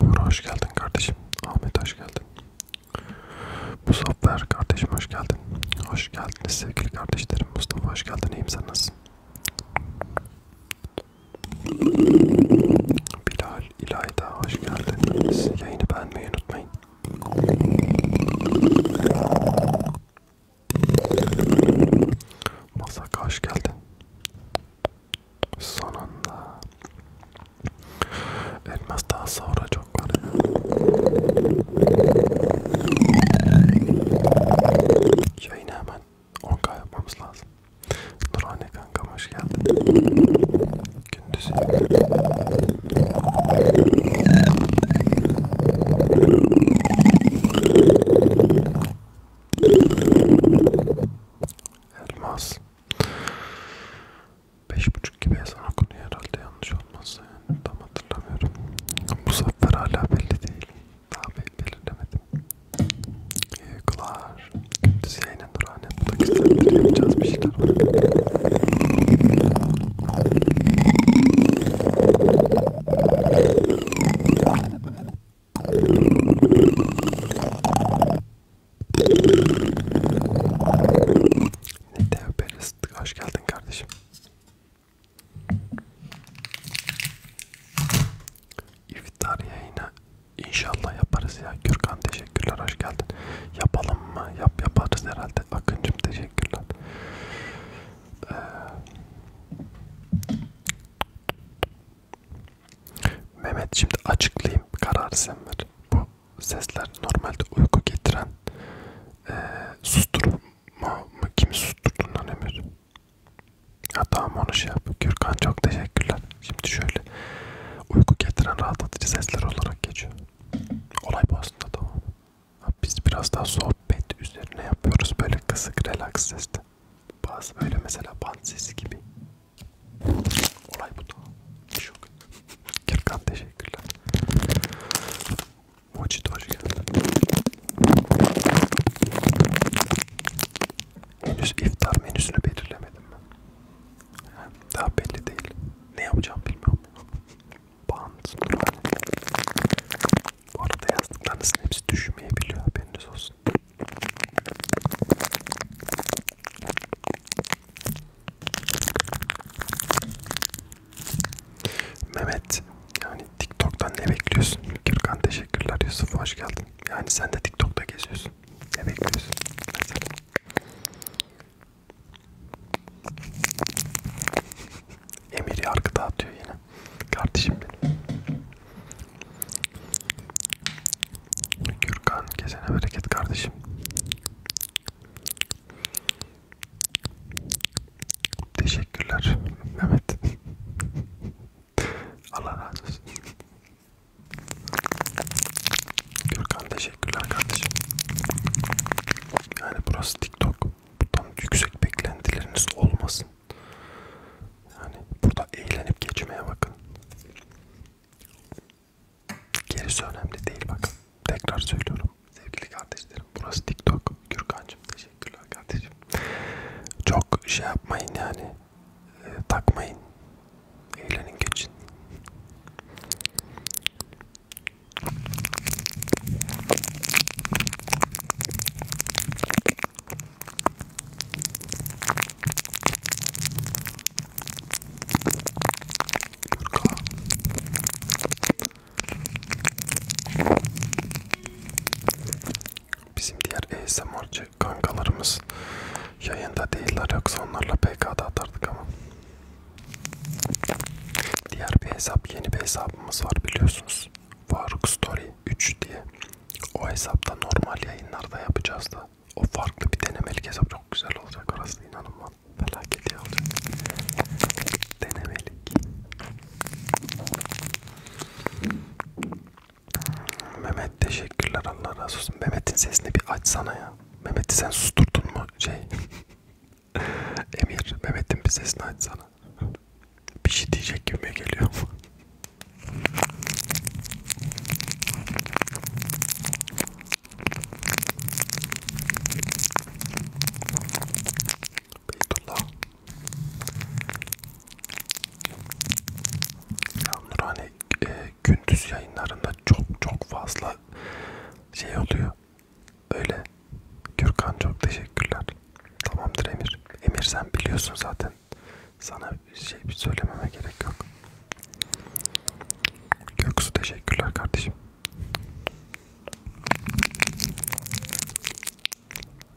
Buğra hoş geldin kardeşim. Ahmet hoş geldin. Muzaffer kardeşim hoş geldin. Hoş geldiniz sevgili kardeşlerim. Mustafa hoş geldin. İyiyim sen nasılsın? Bilal, İlayda hoş geldiniz. Yayını beğenmeyi unutmayın. Masaka hoş geldin. Sonunda. Elmas daha sonra çok var ya. Yayını hemen 10k yapmamız lazım. Nurhane kankam hoş geldin. Gündüz. Elmas. Beş buçuk gibi ezan okunuyor herhalde yanlış olmazsa yani tam hatırlamıyorum. Bu sefer hala belli değil. Daha belirlemedim. İyi uykular. Gündüz yayına durağın etmek istedim. Yapacağız bir şeyler. Dev Peris, hoş geldin kardeşim. İftar yayını inşallah yaparız ya. Gürkan teşekkürler, hoş geldin. Yapalım mı? Yap yaparız herhalde. Akıncım teşekkürler. Ee, Mehmet şimdi açıklayayım kararı sen ver. Bu sesler normalde uyku getiren e, susturma mı kimi susturdun lan Emir? Ya tamam onu şey yap. Gürkan çok teşekkürler. Şimdi şöyle uyku getiren rahatlatıcı sesler olarak geçiyor. Olay bu aslında tamam. Biz biraz daha sohbet üzerine yapıyoruz böyle kısık relax sesle. Bazı böyle mesela band sesi gibi. Olay bu da. Şok. Gürkan teşekkürler. Mochit hoş geldin. Henüz iftar menüsünü belirlemedim ben. Daha belli değil. Ne yapacağım bilmiyorum. Bant. Bu arada yazdıklarınızın hepsi düşmeyebiliyor haberiniz olsun. Mehmet yani TikTok'tan ne bekliyorsun? Gürkan teşekkürler Yusuf hoş geldin. Yani sen de TikTok'ta geziyorsun. Ne bekliyorsun? Mesela. Emir yargı dağıtıyor yine. Kardeşim benim. Gürkan kesene bereket kardeşim. Teşekkürler Mehmet. Allah razı olsun. Gürkan teşekkürler kardeşim. Yani burası TikTok. Tam yüksek beklentileriniz olmasın. Yani burada eğlenip geçmeye bakın. Gerisi önemli değil bakın. Tekrar söylüyorum. Sevgili kardeşlerim burası TikTok. Gürkan'cığım teşekkürler kardeşim. Çok şey yapmayın yani. E, takmayın. Eğlenin geçin. Bizim diğer ASMR'cı kankalarımız yayında değiller yoksa onlarla PK'da atardık ama. Diğer bir hesap, yeni bir hesabımız var biliyorsunuz. Faruk Story 3 diye. O hesapta normal yayınlarda yapacağız da. O farklı bir denemelik hesap çok güzel olacak orası inanın bana. Felaket iyi olacak. Denemelik. Mehmet teşekkürler Allah razı olsun. Mehmet'in sesini bir açsana ya. Mehmet'i sen susturdun mu şey? Emir Mehmet'in bir sesini açsana bir şey diyecek gibi geliyor. Beytullah. Ya Nurhane e, gündüz yayınlarında çok çok fazla şey oluyor. Öyle Gürkan çok teşekkürler. Tamamdır Emir. Emir sen biliyorsun zaten. Sana bir şey söylememe gerek yok. Göksu teşekkürler kardeşim.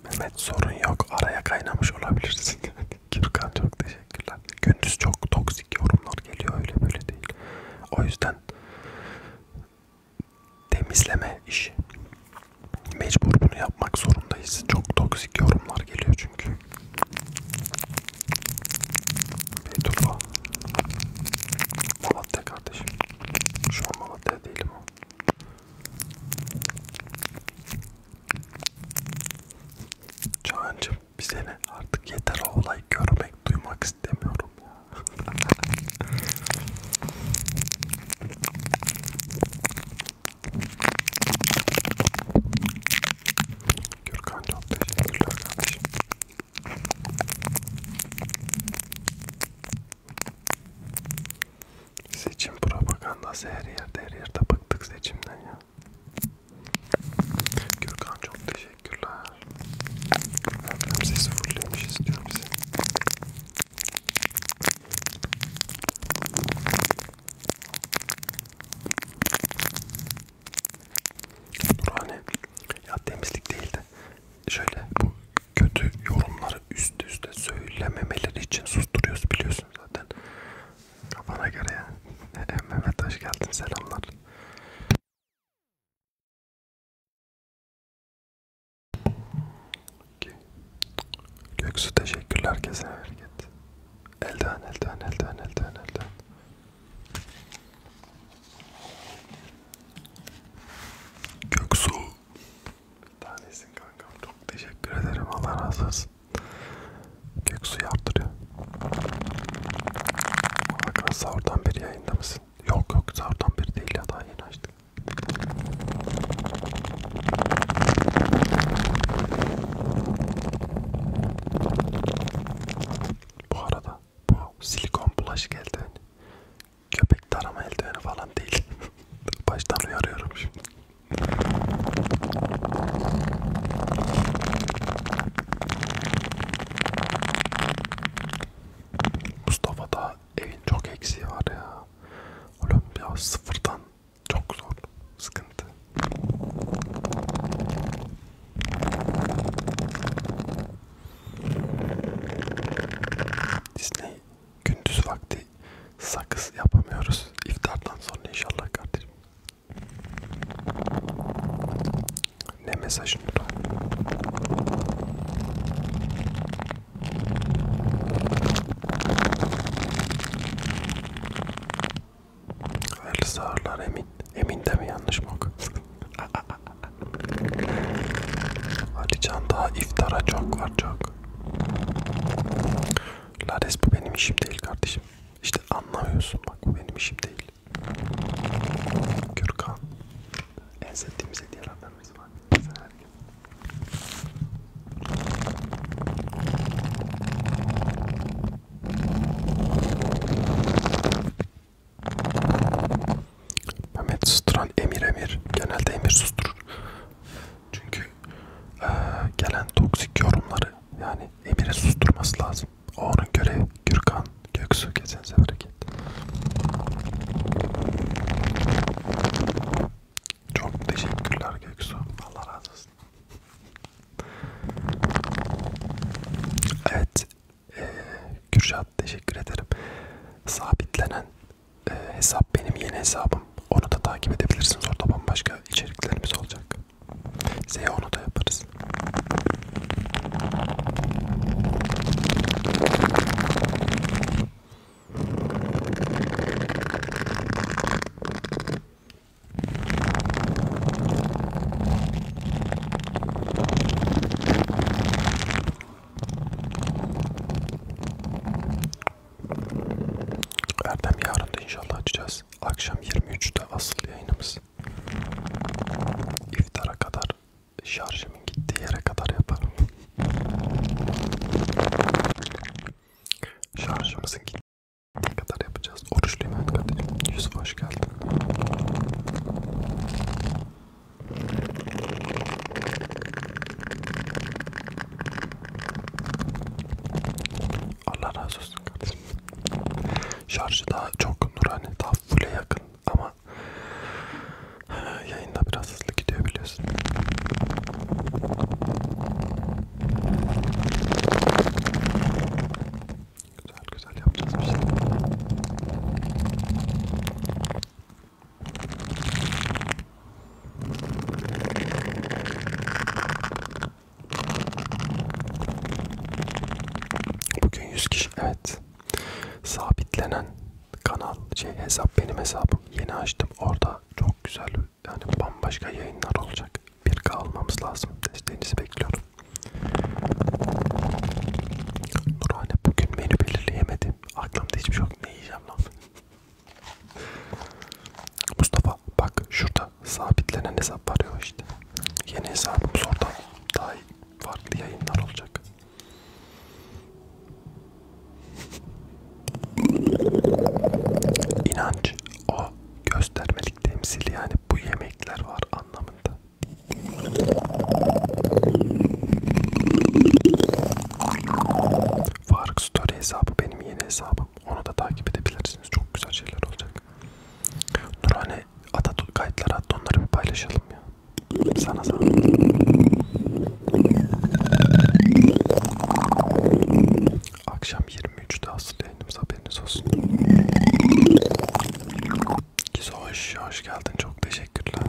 Mehmet sorun yok. Araya kaynamış olabilirsin. Gürkan çok teşekkürler. Gündüz çok toksik yorumlar geliyor öyle böyle değil. O yüzden temizleme işi. Mecbur bunu yapmak zorundayız. Çok toksik yorumlar geliyor çünkü. Beytufa. Malatya kardeşim. Şu an Malatya değilim o. Çağancım bir sene artık yeter o olay görmek duymak istemiyorum ya. Gürkan çok teşekkürler kardeşim. Seçim propagandası her yerde her yerde bıktık seçimden ya. Gürkan çok teşekkürler. Hem sesi fullemiş istiyorum seni. Nurhane ya temizlik değildi. Şöyle bu kötü yorumları üst üste söylememeleri için susturuyoruz biliyorsun zaten. Kafana göre ya. E, Mehmet hoş geldin selamlar. Okay. Göksu teşekkürler herkese hareket. Elden elden elden elden elden. Göksu tanesin kankam çok teşekkür ederim Allah razı olsun. Göksu yaptırıyor. Hakan sahurdan beri yayında mısın? Yok yok sahurdan beri değil ya daha yeni açtık. Bu arada bu silikon bulaş eldiveni, köpek tarama eldiveni falan değil. Baştan uyarıyorum şimdi. Mustafa da evin çok eksiği var ya ya. Oğlum ya sıfırdan çok zor. Sıkıntı. Disney gündüz vakti sakız yapamıyoruz. İftardan sonra inşallah kardeşim. Ne mesajın var? Hayırlısı ağırlar emin. Emin de mi yanlış mı okuyorsun? Alican daha iftara çok var çok. Lades bu benim işim değil kardeşim. İşte anlamıyorsun bak bu benim işim değil. Gürkan. En sevdiğimiz hediyelerden birisi var. Sen Mehmet susturan emir emir genelde emir susturur çünkü e, gelen toksik yorumları yani emire susturması lazım. O onun görevi Gürkan Göksu geçen sefer hareket. Çok teşekkürler Göksu. Allah razı olsun. Evet. E, Kürşat teşekkür ederim. Sabitlenen e, hesap benim yeni hesabım. Onu da takip edebilirsiniz. Orada bambaşka içeriklerimiz olacak. Size onu da yaparız. Erdem yarın da inşallah açacağız. Akşam 23'te asıl yayınımız. İftara kadar şarjımın gittiği yere kadar yaparım. Şarjımızın gittiği kadar yapacağız. Oruçluyum evet kardeşim. Yusuf hoş geldin. Allah razı olsun kardeşim. Şarjı daha çok nurani, daha full'e yakın ama Yayında biraz hızlı gidiyor biliyorsun. Güzel güzel yapacağız bir şey. Bugün 100 kişi evet sabitlenen kanal şey hesap benim hesabım yeni açtım orada çok güzel yani bambaşka yayınlar olacak. 1K almamız lazım. Desteğinizi bekliyorum. Nurhane bugün menü belirleyemedim. Aklımda hiçbir şey yok. Ne yiyeceğim lan? Mustafa bak şurada sabitlenen hesap var ya işte. Yeni hesabımız orada daha farklı yayınlar olacak. İnanç o göstermelik temsil yani bu yemekler var anlamında. Faruk Story hesabı benim yeni hesabım. Onu da takip edebilirsiniz. Çok güzel şeyler olacak. Nurhane Atatürk kayıtları attı onları bir paylaşalım ya. Sana sana. Akşam 23'te asıl yayınımız haberiniz olsun. Gizo hoş, hoş geldin. Çok teşekkürler.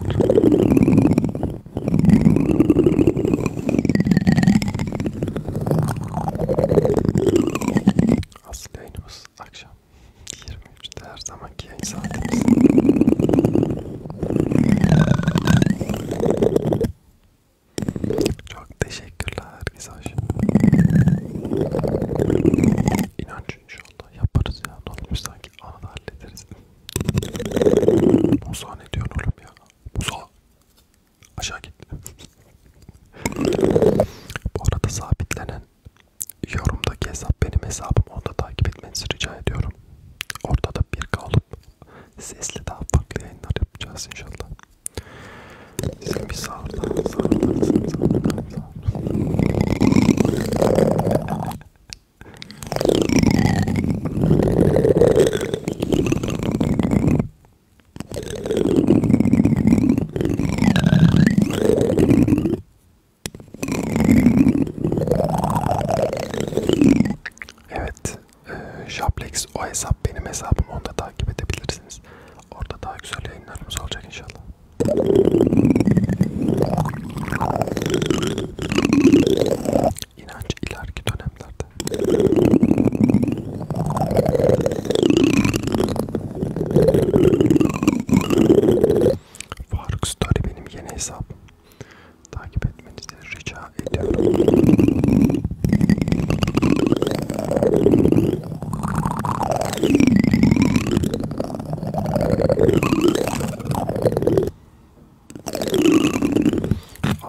Asıl yayınımız akşam 23'te her zamanki yayın saatimiz. Çok teşekkürler Mizaş. İnanç inşallah yaparız ya. Ne olmuş sanki anı da hallederiz. Musa ne diyorsun oğlum ya? Musa! Aşağı git. Bu arada sabitlenen yorumdaki hesap benim hesabım. Onu da takip etmenizi rica ediyorum. Orada da bir kalıp sesli daha farklı yayınlar yapacağız inşallah. Sizin bir sağırlar, sağırlar, sağırlar, sağırlar, sağırlar. Evet, e, ee, Shoplex o hesap benim hesabım onda takip edebilirsiniz. Orada daha güzel yayınlarımız olacak inşallah. İnanç ileriki dönemlerde. Faruk Story benim yeni hesabım takip etmenizi rica ediyorum.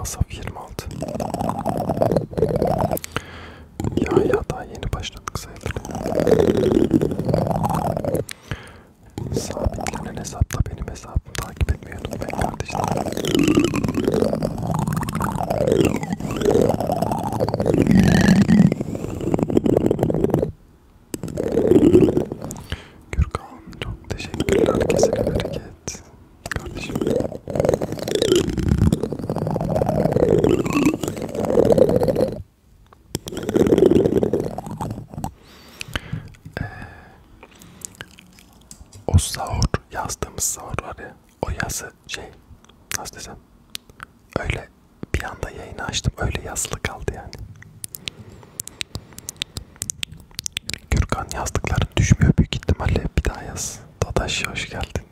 Asaf 26 Ya ya daha yeni başladık sayılır. Sabitlenen hesapta benim hesabım Takip etmeyi unutmayın kardeşler. Gürkan çok teşekkürler kesene bereket kardeşim. Ee, o sahur yazdığımız sahur var ya o yazı şey nasıl desem öyle bir anda yayını açtım öyle yazılı kaldı yani. Gürkan yazdıkların düşmüyor büyük ihtimalle bir daha yaz. Dadaş hoş geldin.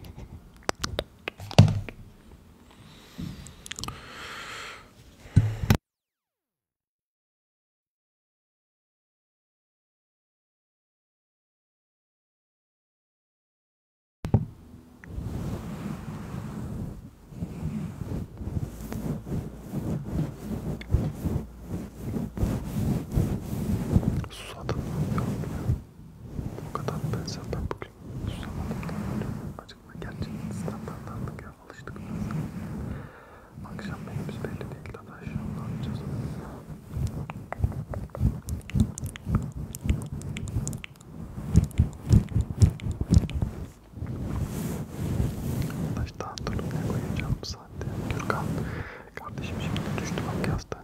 Susadım O kadar ben zaten bugün susamadım. Acıkma gerçekten İstanbul'dan da alıştık. Akşam neyimiz belli değil dadaş. Ne yapacağız? Dadaş daha ne koyacağım bu saatte? Gürkan kardeşim şimdi düştü bak yazdan.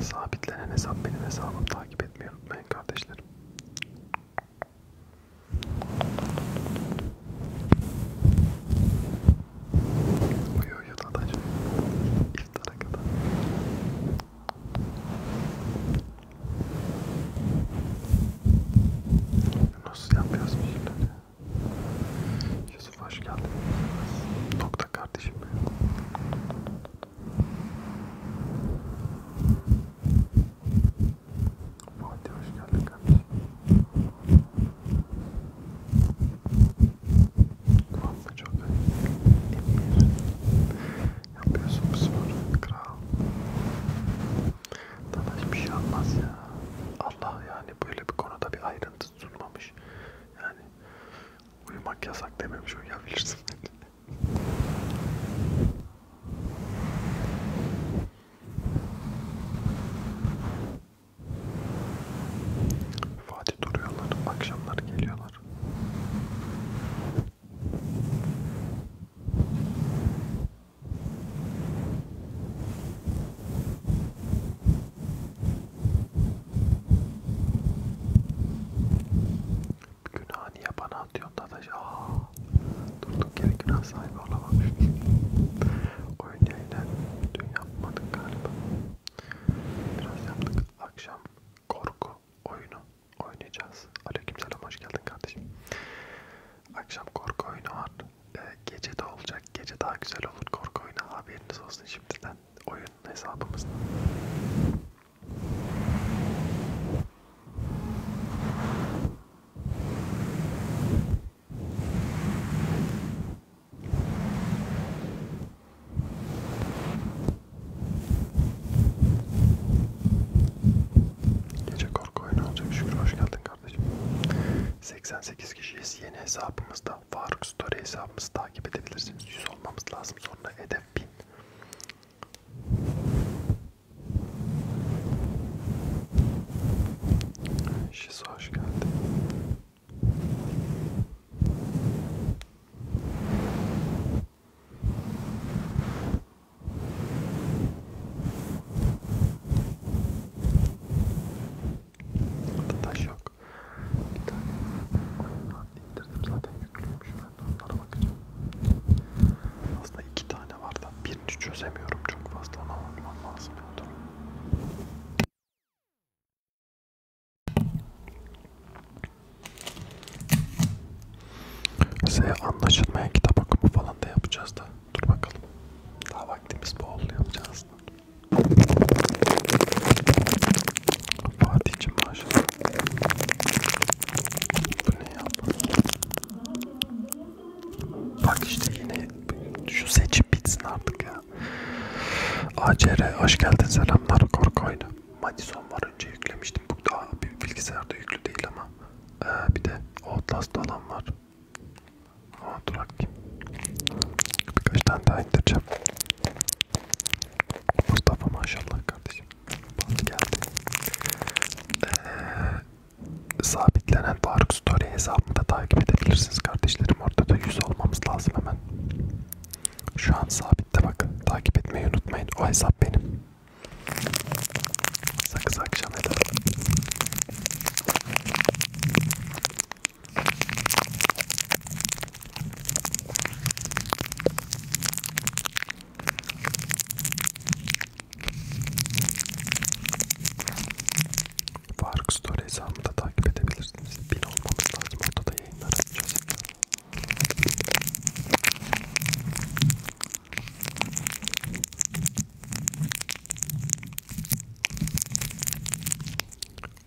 Sabitlenen hesap benim hesabım takip etmeyi unutmayın kardeşlerim. Uyuyor yatağda şöyle. İftara kadar. Nasıl yapıyoruz bu işleri? Yusuf hoş geldin. Nokta kardeşim. Fatih hoş geldin kardeşim. Valla çok emir yapıyorsun bu sporu kral. Daha hiçbir şey olmaz ya. Allah yani böyle bir konuda bir ayrıntı sunmamış. Yani uyumak yasak dememiş uyuyabilirsin. Fatih duruyorlar, akşamlar geliyorlar. Günah niye bana atıyorsun Dadaş? Aaa! Durduk yere günah sahibi olamamış. Konya ile dün yapmadık galiba. Biraz yaptık. Akşam korku oyunu oynayacağız. Aleykümselam hoş geldin kardeşim. Akşam korku oyunu var. Ee, gece de olacak. Gece daha güzel olur korku oyunu. Haberiniz olsun şimdiden. Oyun hesabımızda. Gece korku oyunu olacak şükür hoş geldin kardeşim. 88 kişiyiz yeni hesabımızda. Faruk Story hesabımızı takip edebilirsiniz. 100 olmamız lazım sonra hedef 1000. Şizo hoş geldin. Burada taş yok. Bir tane oyundan indirdim zaten yüklüymüş. Ben de onlara bakacağım. Aslında iki tane tane var da birini çözemiyorum çok fazla ona bakmam lazım. Ya, Size anlaşılmayan kitap okumu falan da yapacağız da dur bakalım. Daha vaktimiz bol yapacağız da. Fatih'cim maşallah. Bu ne ya? Bak işte yine şu seçim bitsin artık ya. ACR hoş geldin selamlar korku oyunu. Madison var önce yüklemiştim. Bu daha bir bilgisayarda yüklü değil ama. Ee, bir de Outlast olan var. Aa, durak Birkaç tane daha indireceğim. Mustafa maşallah kardeşim. Bak geldi. Ee, sabitlenen Faruk Story hesabımı da takip edebilirsiniz kardeşlerim. Orada da 100 olmamız lazım hemen. Şu an sabitte bak. Takip etmeyi unutmayın. O hesap benim. Sakız akşam edelim. Faruk Story hesabımı da takip edebilirsiniz. Bin olmamız lazım. Orada da yayınlar açacağız.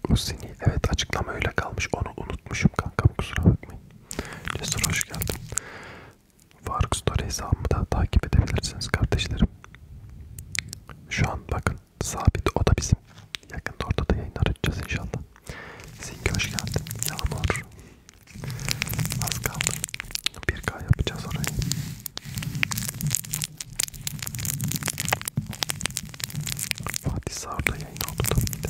Usini evet açıklama öyle kalmış. Onu unutmuşum kankam kusura bakmayın. Cesur hoş geldin. Faruk Story hesabımı da takip edebilirsiniz kardeşlerim. Şu an bakın sabit o da bizim. Yakında orada da yayınlar edeceğiz inşallah. Zinki hoş geldin. Yağmur. Az kaldı. 1K yapacağız orayı. Fatih Sarı'da yayın oldu tabii de.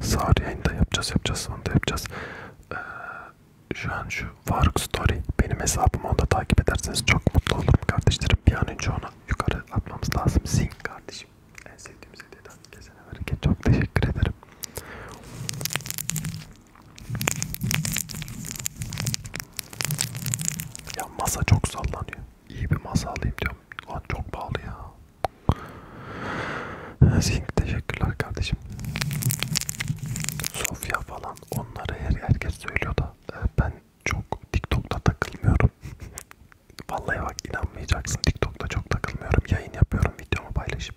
Sağır yayında yapacağız yapacağız sonunda yapacağız. Ee, şu an şu Faruk Story benim hesabımı onda takip ederseniz çok mutlu olurum kardeşlerim. Bir an önce ona yukarı atmamız lazım. Zing kardeşim. En sevdiğim hediyeden kesene hareket. Çok teşekkür ederim. Ya masa çok sallanıyor. İyi bir masa alayım diyorum. Lan çok pahalı ya. Zink teşekkürler kardeşim. Sofya falan onları her herkes söylüyor da e, ben çok TikTok'ta takılmıyorum. Vallahi bak inanmayacaksın TikTok'ta çok takılmıyorum. Yayın yapıyorum, videomu paylaşıp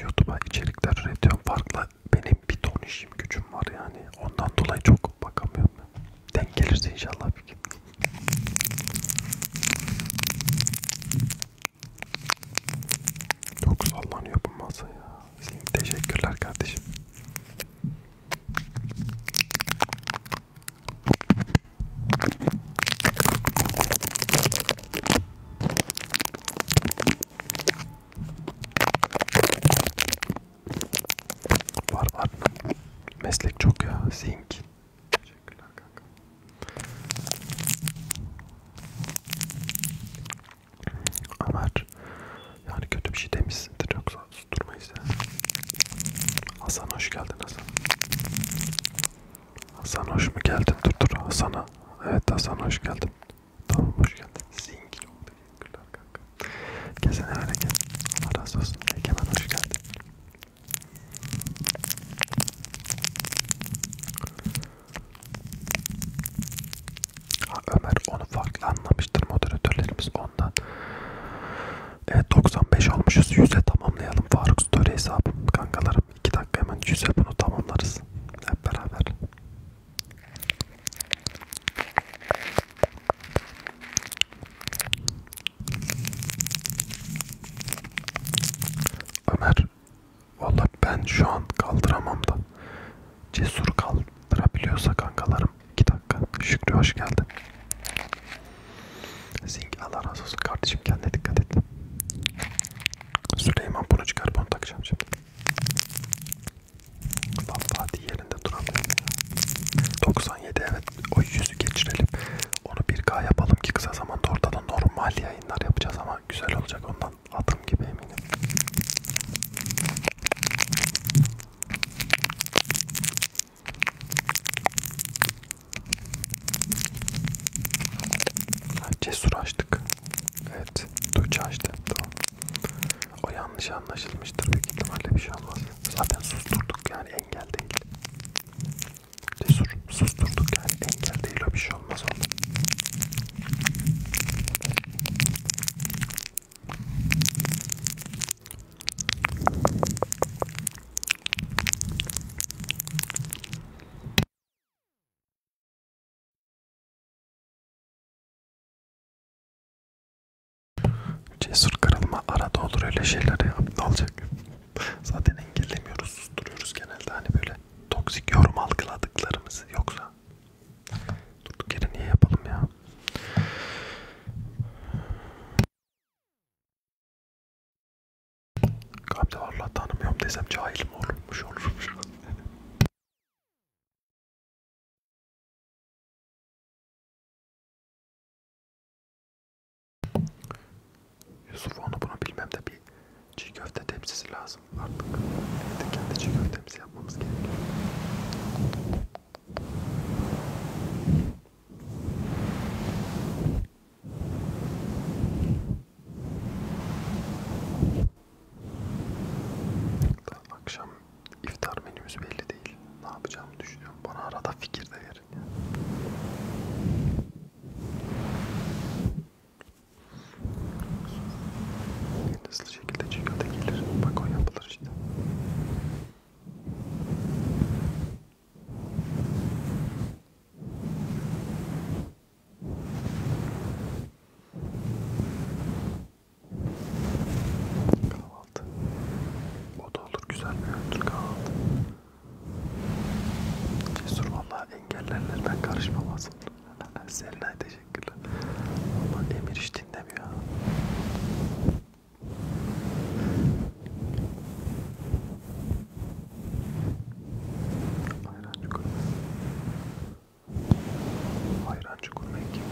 YouTube'a içerikler üretiyorum. Farklı benim bir ton işim gücüm var yani. Ondan dolayı çok bakamıyorum. Ben. Denk gelirse inşallah bir gün. Çok sallanıyor bu masa ya. Teşekkürler kardeşim. Var var. Meslek çok ya. Zinc. Teşekkürler kanka. Ömer yani kötü bir şey demişsindir yoksa susturmayız ya. Hasan hoş geldin Hasan. Hasan hoş mu geldin? Dur dur Hasan'a. Evet Hasan hoş geldin. Tamam hoş geldin. Zingil oldu. Teşekkürler kanka. Kesene öyle gel. Allah razı olsun. Egemen hoş geldin. Ha, Ömer onu farklı anlamıştır moderatörlerimiz ondan. Evet 95 olmuşuz 100'e tamamlayalım Faruk Story hesabı kankalarım 2 dakika hemen 100'e bunu tamamlarız hep beraber. Ömer var. Valla ben şu an kaldıramam da. Cesur kaldırabiliyorsa kankalarım. 2 dakika. Şükrü hoş geldin. Zing Allah razı olsun kardeşim kendine dikkat et. Süleyman bunu çıkar bunu takacağım şimdi. Lan Fatih yerinde duramıyor. 97 evet o yüzü geçirelim. Onu 1K yapalım ki kısa zamanda ortada normal ya yayınlar yapacağız ama güzel olacak ondan adım gibi eminim. Cesur açtık. Evet. Tuğçe açtı. Tamam. O yanlış anlaşılmıştır. Büyük ihtimalle bir şey olmaz. Zaten susturduk yani engel değil. Cesur susturduk yani engel değil o bir şey olmaz onda. Cesur kırılma arada olur öyle şeyler ya aptalcık. Zaten engellemiyoruz, susturuyoruz genelde hani böyle toksik yorum algıladıklarımızı yoksa durduk yere niye yapalım ya? Gamze vallahi tanımıyorum desem cahil mi olurmuş olurmuş. Yusuf onu bunu bilmem de bir çiğ köfte tepsisi lazım artık. Evde kendi çiğ köftemizi yapmamız gerekiyor. Daha akşam iftar menümüz belli değil. Ne yapacağımı düşünüyorum. Bana arada fikir de verin. Yani. En hızlı şekilde çıkıyor da gelir. Bak o yapılır işte. Kahvaltı. O da olur güzel bir öğüntür kahvaltı. Cesur valla engellerle ben karışmam lazım. Selinay teşekkürler. Valla Emir hiç dinlemiyor. Hayran çukur. Hayran çukur kim?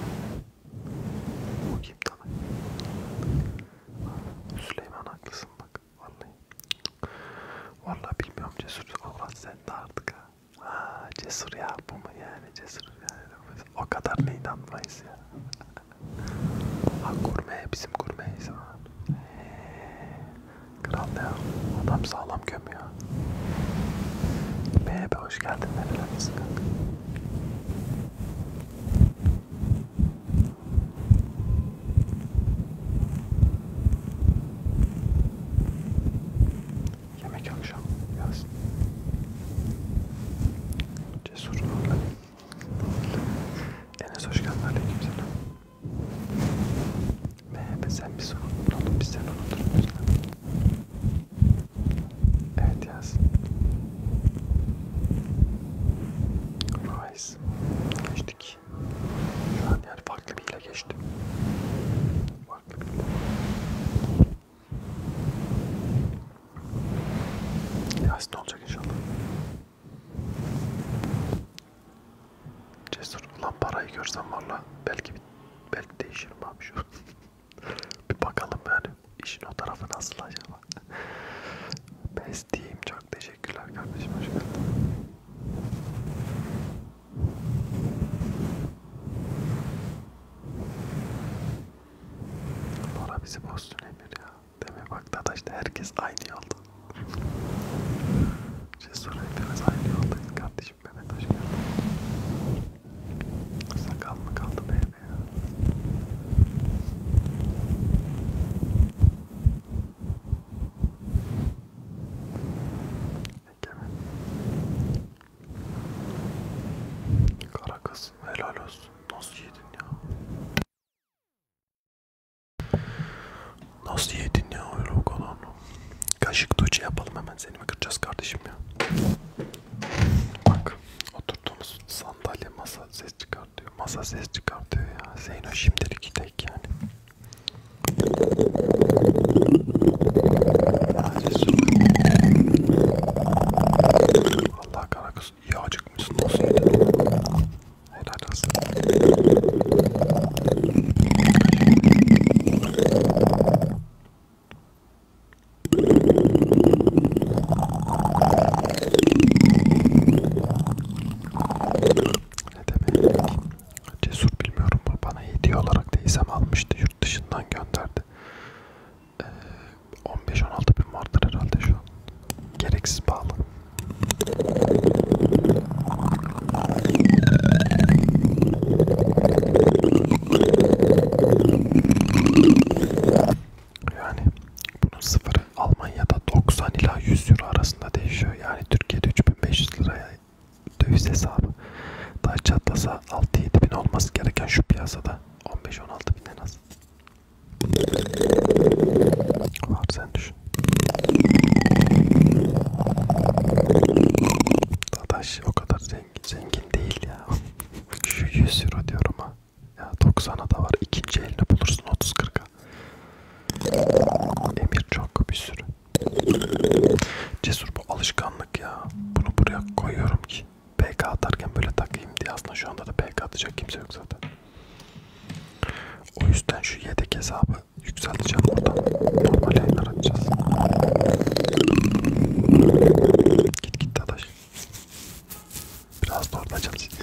O kim tamam. Süleyman haklısın bak. Vallahi. Vallahi bilmiyorum cesur. Allah sen de artık ha. Ha cesur ya bu mu yani cesur yani. O kadar ne inanmayız ya. ha gurme bizim gurmeyiz ha. Kral ya. Adam sağlam gömüyor. Bebe hoş geldin nerelerdesin kanka. Yemek akşam gelsin. Cesur Nurla. Enes hoş geldin aleykümselam. Mehmet sen bizi unuttun, biz seni unutturmuyoruz. Evet yaz. Nice. Geçtik değil. Şu an yani farklı bir ile geçti. Farklı bir ile. Yasin olacak inşallah. Cesur ulan parayı görsem valla belki bir, belki değişirim abi şu. bir bakalım yani işin o tarafı nasıl acaba. Bestiyim çok çok teşekkürler kardeşim hoş geldin. Bora bizi bozsun Emir ya. Demek bak Dadaş'ta herkes aynı yolda. Cesur hepimiz aynı yoldayız kardeşim Mehmet hoş geldin. Sakal mı kaldı bebe ya? Egemen. Kara kız helal olsun. Nasıl yedin ya? Nasıl yedin ya öyle o kadar Kaşık tuğçe yapalım hemen seni mi kıracağız kardeşim ya? Bak oturduğumuz sandalye masa ses çıkartıyor. Masa ses çıkartıyor ya. Zeyno şimdilik tek yani. Allah kara kız iyi acıkmışsın nasıl yedin? Helal olsun. Ne demek? Cesur bilmiyorum mu? Bana hediye olarak teyzem almıştı. Yurt dışından gönderdi. Ee, 15-16 bin vardır herhalde şu an. Gereksiz pahalı. Yani bunun sıfırı Almanya'da 90 ila 100 euro arasında değişiyor. Yani Türkiye'de 3500 500 liraya döviz hesabı. Daha çatlasa 6-7 bin olması gereken şu piyasada 15-16 bin en az. Var sen düşün. Dadaş o kadar zengin, zengin değil ya. Şu 100 euro diyorum ha. Ya 90'a da var. İkinci elini bulursun 30-40'a. Emir çok bir sürü. Cesur bu alışkanlık ya. Bunu buraya koyuyorum ki PK atarken böyle takayım diye. Aslında şu anda da PK atacak kimse yok zaten. O yüzden şu yedek hesabı yükselteceğim buradan. Normal yayınlar atacağız. Git git dadaş. Biraz da orada açalım sizi.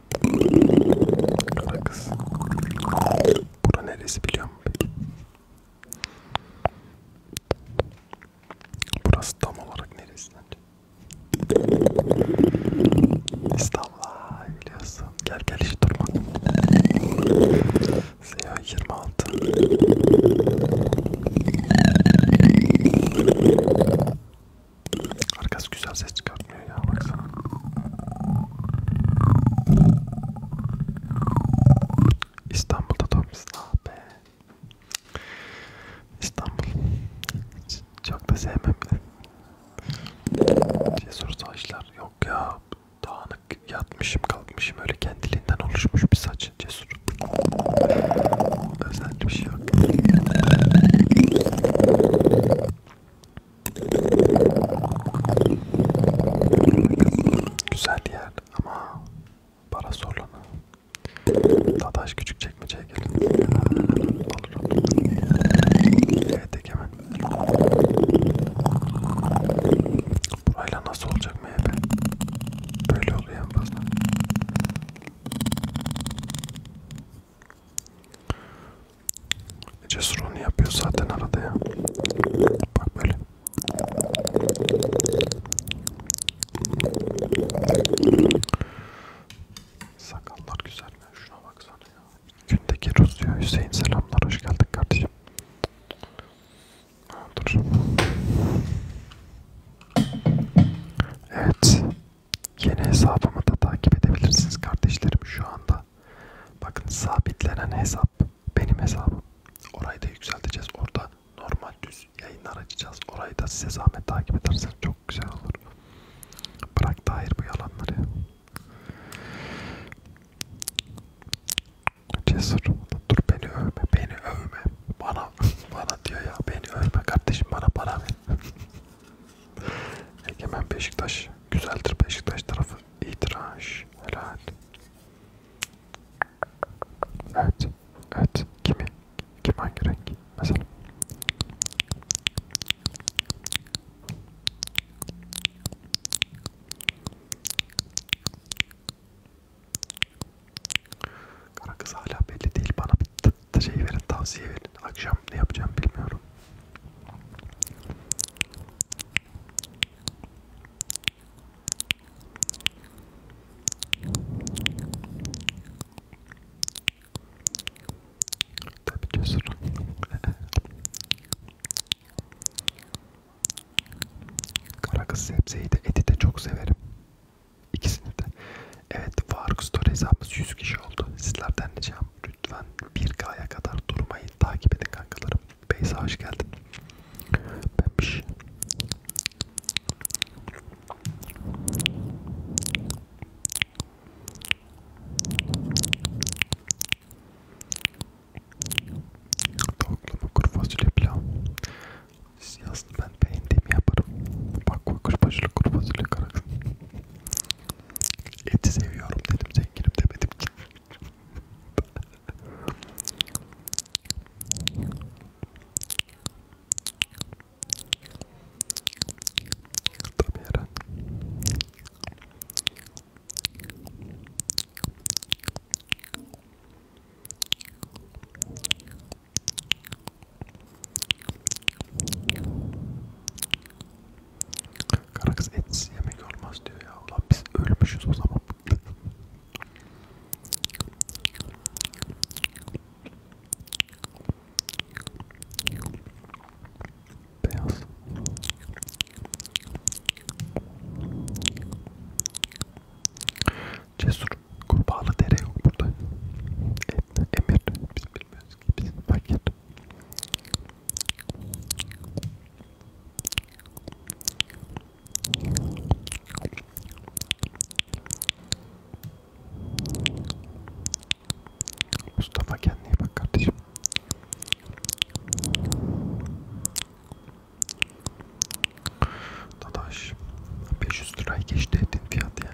Kız. Bura neresi biliyor musun peki? Burası tam olarak neresi sence? İstanbul biliyorsun. Gel gel hiç durma. Zeyo 26. Arkası güzel ses çıkartmıyor ya baksana. İstanbul'da doğmuşsun ah be. İstanbul. Çok da sevmem bile. Cesur saçlar yok ya. Dağınık yatmışım kalkmışım öyle kendiliğinden oluşmuş bir saç cesur. Bende bir şey yok. Güzel yer ama para sorulana. Dadaş küçük çekmeceye gelin. Alırım. Evet Egemen. Burayla nasıl olacak MHP? Böyle oluyor en fazla. Cesur onu yapıyor zaten arada ya. Bak böyle. Sakallar güzel mi? Şuna baksana ya. Gündeki Rus diyor. Hüseyin selamlar. Hoş geldin kardeşim. Dur. Evet. Yeni hesabımı da takip edebilirsiniz kardeşlerim şu anda. Bakın sabitlenen hesap benim hesabım. Orayı da yükselteceğiz. Orada normal düz yayınlar açacağız. Orayı da size zahmet takip ederseniz çok güzel olur. Bırak da hayır bu yalanları. Cesur. Dur beni övme. Beni övme. Bana bana diyor ya. Beni övme kardeşim. Bana para ver. Egemen Beşiktaş. Güzeldir Beşiktaş tarafı. İtiraj. Helal. Evet. Evet. Kimi? Kim hangi renk? Mesela. Kara kız hala belli değil. Bana bir şey verin, tavsiye verin. Akşam ne yapacağım bilmiyorum. Tabii cesur. Kara kız sebzeyi de eti de çok severim. İkisini de. Evet Faruk Store hesabımız 100 kişi oldu. Sizlerden ricam lütfen 1K'ya kadar durmayın. Takip edin kankalarım. Beyza hoş geldin. Benmiş. Tavuklu kuru fasulye pilav. Siz yazın ben beğendiğimi yaparım. Bak kuru fasulye kuru fasulye karakın. Eti seviyorum dedim zenginim demedim ki. Tabii herhalde. Karakız etsiz yemek olmaz diyor ya. Ulan biz ölmüşüz o zaman. Beyaz. Cesur. Kurbağalı dere yok burada. Emir. Biz bilmiyoruz. Keeps market. Mustafa kendine iyi bak kardeşim. Dadaş 500 liraya geçti etin fiyatı ya.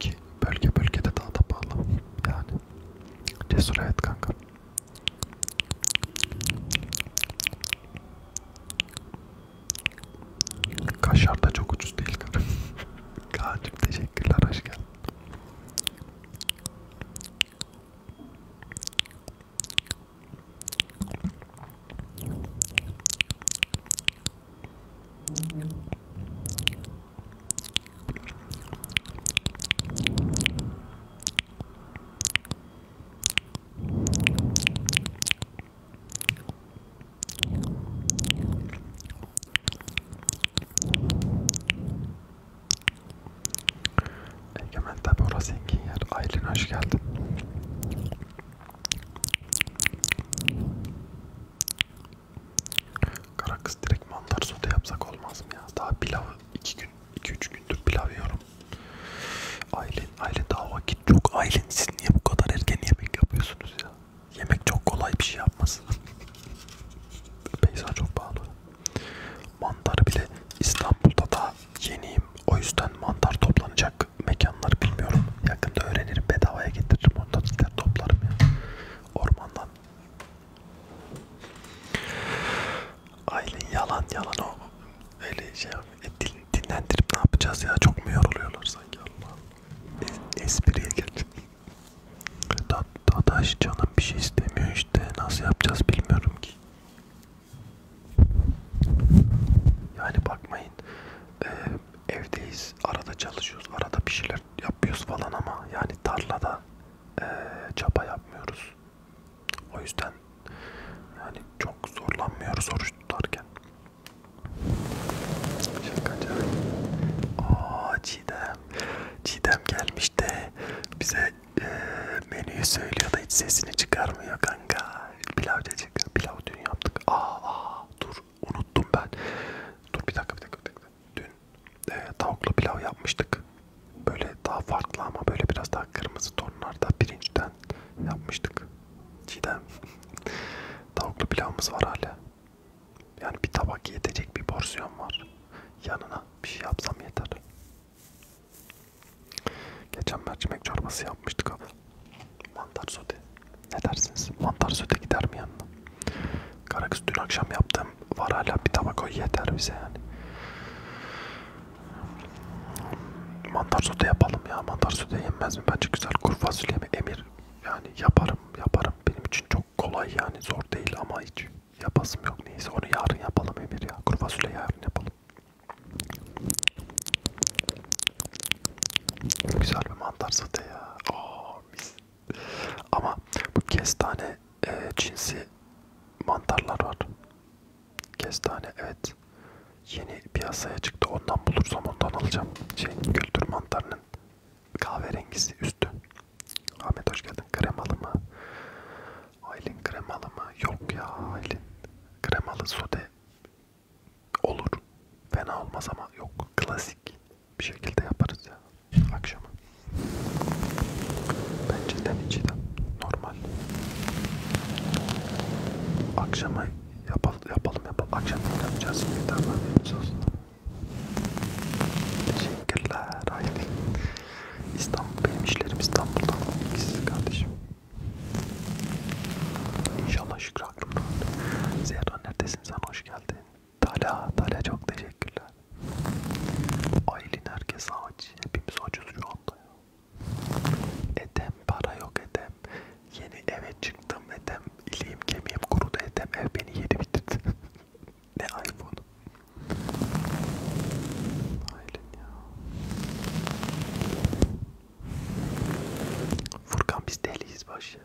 Ki ki bölge bölgede daha da pahalı. Yani cesur hayat kanka. Kaşar da çok ucuz değil kanka. Kaan'cım teşekkürler hoş geldin. Egemen tabi orası zengin yer. Aylin hoş geldin. Kara kız direkt mantar sote yapsak olmaz mı ya? Daha pilav 2 gün 2-3 gündür pilav yiyorum. Aylin, Aylin daha vakit yok. Aylin siz niye bu kadar erken yemek yapıyorsunuz ya? Yemek çok kolay bir şey yapmasın. Beyza çok pahalı. Mantar bile İstanbul'da da yeniyim. O yüzden mantar toplanacak mekanlar bilmiyorum. Yakında öğrenirim bedavaya getiririm. Ondan gider toplarım ya ormandan. Aylin yalan yalan o öyle şey e, din, dinlendirip ne yapacağız ya çok mu yoruluyorlar sanki Allah e, espriye gel. Da, dadaş canım bir şey istemiyor işte nasıl yapacağız bilmiyorum ki. Yani bakmayın e, evdeyiz arada çalışıyoruz arada bir şeyler yapıyoruz falan ama yani tarlada e, çapa yapmıyoruz. O yüzden yani çok zorlanmıyoruz oruç tutarken. Şakacı. Aa Çiğdem. Çiğdem gelmiş de bize e, menüyü söylüyor da hiç sesini çıkarmıyor kanka. Pilav dedik. Pilav dün yaptık. Aa, aa dur unuttum ben. Dur bir dakika bir dakika. Bir dakika. Dün e, tavuklu pilav yapmıştık. Böyle daha farklı ama böyle biraz daha kırmızı tonlarda pirinçten yapmıştık. Çiğdem. tavuklu pilavımız var hala. Yani bir tabak yetecek bir porsiyon var. Yanına bir şey yapsam yeter. Geçen mercimek çorbası yapmıştık abi. Mantar sote. Ne dersiniz? Mantar söte gider mi yanına? Karakız dün akşam yaptığım var hala bir tabak o yeter bize yani. Mantar sote yapalım ya. Mantar sote yenmez mi? Bence güzel. Kuru fasulye mi? Emir. Yani yaparım yaparım. Benim için çok kolay yani zor değil ama hiç yapasım yok. Neyse onu yarın yapalım Emir ya. Kuru fasulye yarın yapalım. Güzel bir mantar sote ya. Oo mis. Ama bu kestane e, cinsi mantarlar var. Kestane evet. Yeni piyasaya çıktı. Ondan bulursam ondan alacağım. Şey, kültür mantarının kahverengisi üstü. Ahmet hoş geldin. Kremalı mı? Aylin kremalı mı? Yok ya Aylin. Kremalı sote olur. Fena olmaz ama yok. Klasik bir şekilde yaparız ya akşama. Bence den içiden normal. Akşama yapalım yapalım yapalım. Akşam ne yapacağız? Bir daha aslında. Teşekkürler haydi. İstanbul benim işlerim İstanbul'dan ikisi kardeşim. İnşallah Şükrü Akram Zehra neredesin sen hoş geldin. Tala, Tala çok teşekkürler. Aylin herkes aç. Hepimiz açız şu anda ya. Edem para yok Edem. Yeni eve çıktım Edem. İliğim kemiğim kurudu Edem. Ev beni yedi bitirdi. ne iPhone. Aylin ya. Furkan biz deliyiz başı.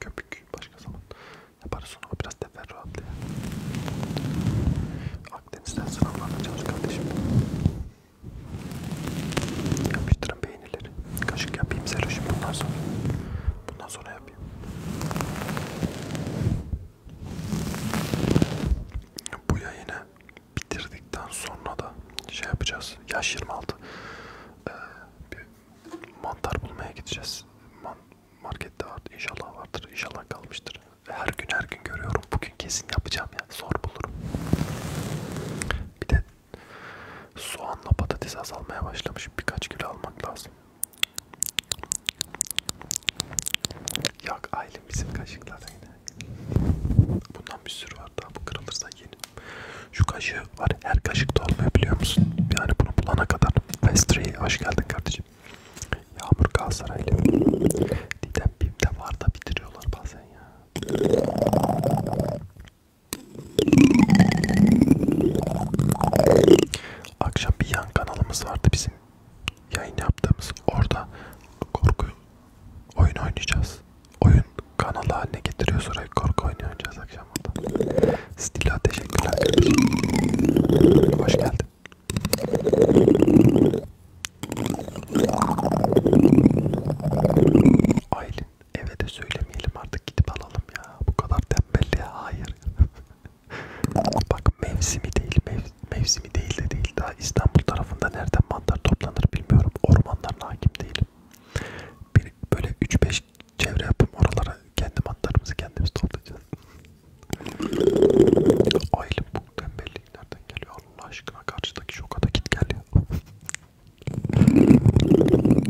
Köpük başka zaman yaparız onu biraz teferruatlı ya. Akdeniz'den sınavlarla çalış kardeşim. Yapıştırın beğenileri. Kaşık yapayım Seloş'um bundan sonra. Bundan sonra abi. Bu yayını bitirdikten sonra da şey yapacağız. Yaş 26. Ee, bir mantar bulmaya gideceğiz. Man markette vardı. İnşallah vardır. İnşallah kalmıştır. Her gün her gün görüyorum. Bugün kesin yapacağım ya. Zor bulurum. Bir de soğanla patates azalmaya başlamış. Birkaç kilo almak lazım. Yok ailem bizim kaşıklar yine. Bundan bir sürü var daha bu kırılırsa yeni. Şu kaşığı var her kaşıkta olmuyor biliyor musun? Yani bunu bulana kadar. Pastry hoş geldin kardeşim. Yağmur Galatasaraylı. Didem Bim'de var da bitiriyorlar bazen ya. Akşam bir yan kanalımız vardı bizim yayın yaptığımız. Orada korku oyun oynayacağız. Oyun kanalı haline getiriyor sonra korku oyunu oynayacağız akşam burada. Stila teşekkürler. Hoş geldin. Aylin eve de söylemeyelim artık gidip alalım ya. Bu kadar tembel ya. Hayır. Bak mevsimi değil, mev, mevsimi değil de değil. Daha İstanbul tarafında nereden mantar toplanır bilmiyorum. Ormanlarına hakim değilim. Bir, böyle 3-5 çevre yapıp oralara kendi mantarımızı kendimiz toplayacağız. Aylin bu tembellik nereden geliyor Allah aşkına karşıdaki şoka da git gel ya.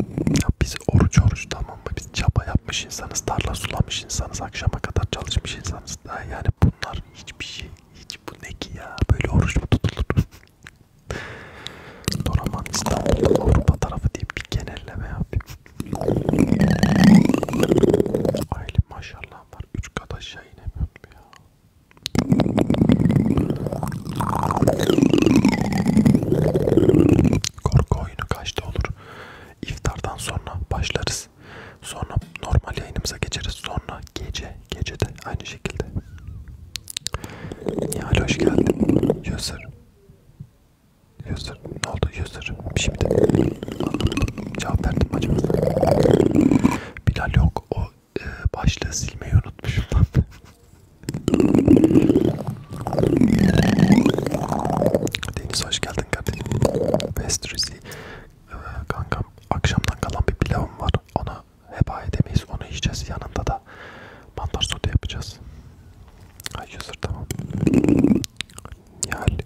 ya biz oruç oruç tamam tamam mı? Biz çaba yapmış insanız, tarla sulamış insanız, akşama kadar çalışmış insanız. Daha yani bunlar hiçbir şey, hiç bu ne ki ya? Böyle oruç mu tutulur? Doraman İstanbul'da Avrupa tarafı diye bir genelleme yapayım. Aile maşallah var. Üç kat aşağı inemiyorum ya. Korku oyunu kaçta olur? İftardan sonra başlarız. Sonra normal yayınımıza geçeriz. Sonra gece, gece de aynı şekilde. Nihal hoş geldin. User. User. Ne oldu user? Şimdi anlamadım. Cevap verdim acaba. Bilal yok. O e, başlığı silmeyi unutmuşum. Deniz hoş geldin kardeşim. Westrisi ee, kankam akşamdan kalan bir pilavım var. Ona heba edemeyiz. Onu yiyeceğiz. Yanında da mantar sote yapacağız. Ay user tamam. Nihal.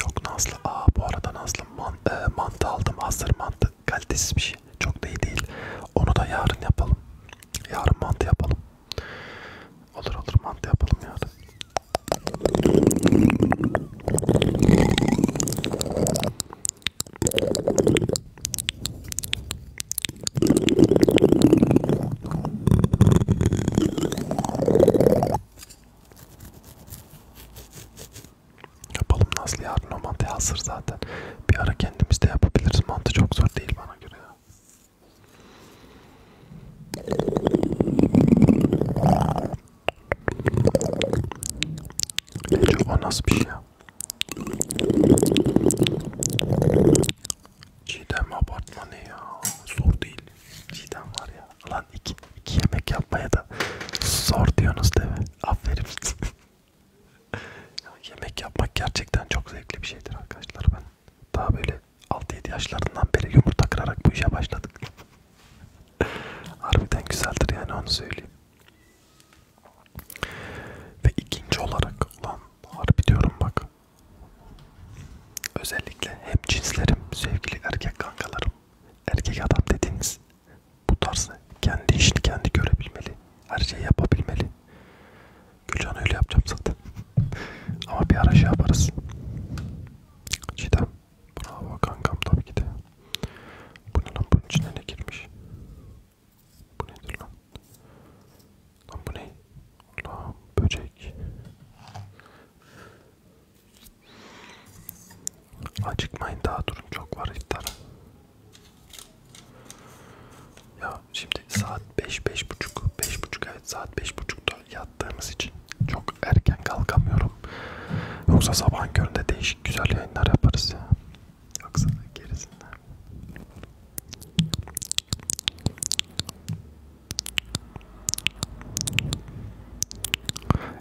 Yok Nazlı. Aa bu arada Nazlı man, e, mantı aldım. Hazır mantı. Kalitesiz bir şey. Çok da iyi değil. Onu da yarın yapalım. Yarın mantı yapalım. Olur olur mantı yapalım yarın. Yapalım Nazlı yarın o mantı hazır zaten. Bir ara kendimiz de yapabiliriz. Mantı çok zor değil bana göre ya. Çok o nasıl bir şey ya? Çiğdem abartma ne ya? Zor değil. Çiğdem var ya. Lan iki, iki yemek yapmaya da zor diyorsunuz değil mi? Aferin. ya yemek yapmak gerçekten çok zevkli bir şeydir arkadaşlar. Ben daha böyle 6-7 yaşlarından beri yumurta kırarak bu işe başladık. Harbiden güzeldir yani onu söyleyeyim. Ve ikinci olarak ulan harbi diyorum bak Özellikle hem cinslerim, sevgili erkek kankalarım, erkek adam dediğiniz bu tarzı kendi işini kendi görebilmeli, her şeyi yapabilmeli. Gülcan öyle yapacağım zaten. Ama bir ara şey yaparız. Cidden. Bravo kankam tabii ki de. Bunun bunun içine ne girmiş? Bu nedir lan? Lan bu ne? Allah'ım böcek. Acıkmayın daha durun çok var iftar. Ya şimdi saat 5 5 buçuk 5 buçuk evet saat 5 buçukta yattığımız için çok erken kalkamıyorum. Yoksa sabah köründe değişik güzel yayınlar yaparız ya. Yoksa gerisinden.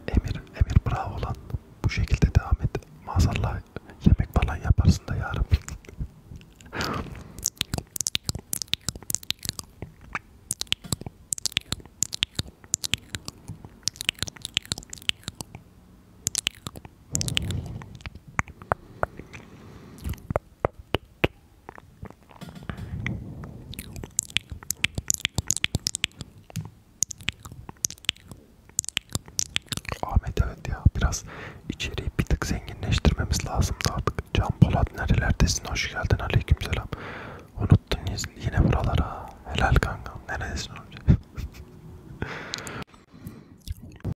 Emir, Emir bravo lan. Bu şekilde devam et. Maazallah yemek falan yaparsın da yarın. Ahmet evet ya biraz içeriği bir tık zenginleştirmemiz lazım da artık. Can Polat nerelerdesin? Hoş geldin. Aleykümselam. Unuttun yine buralara. Helal kanka. Neredesin önce?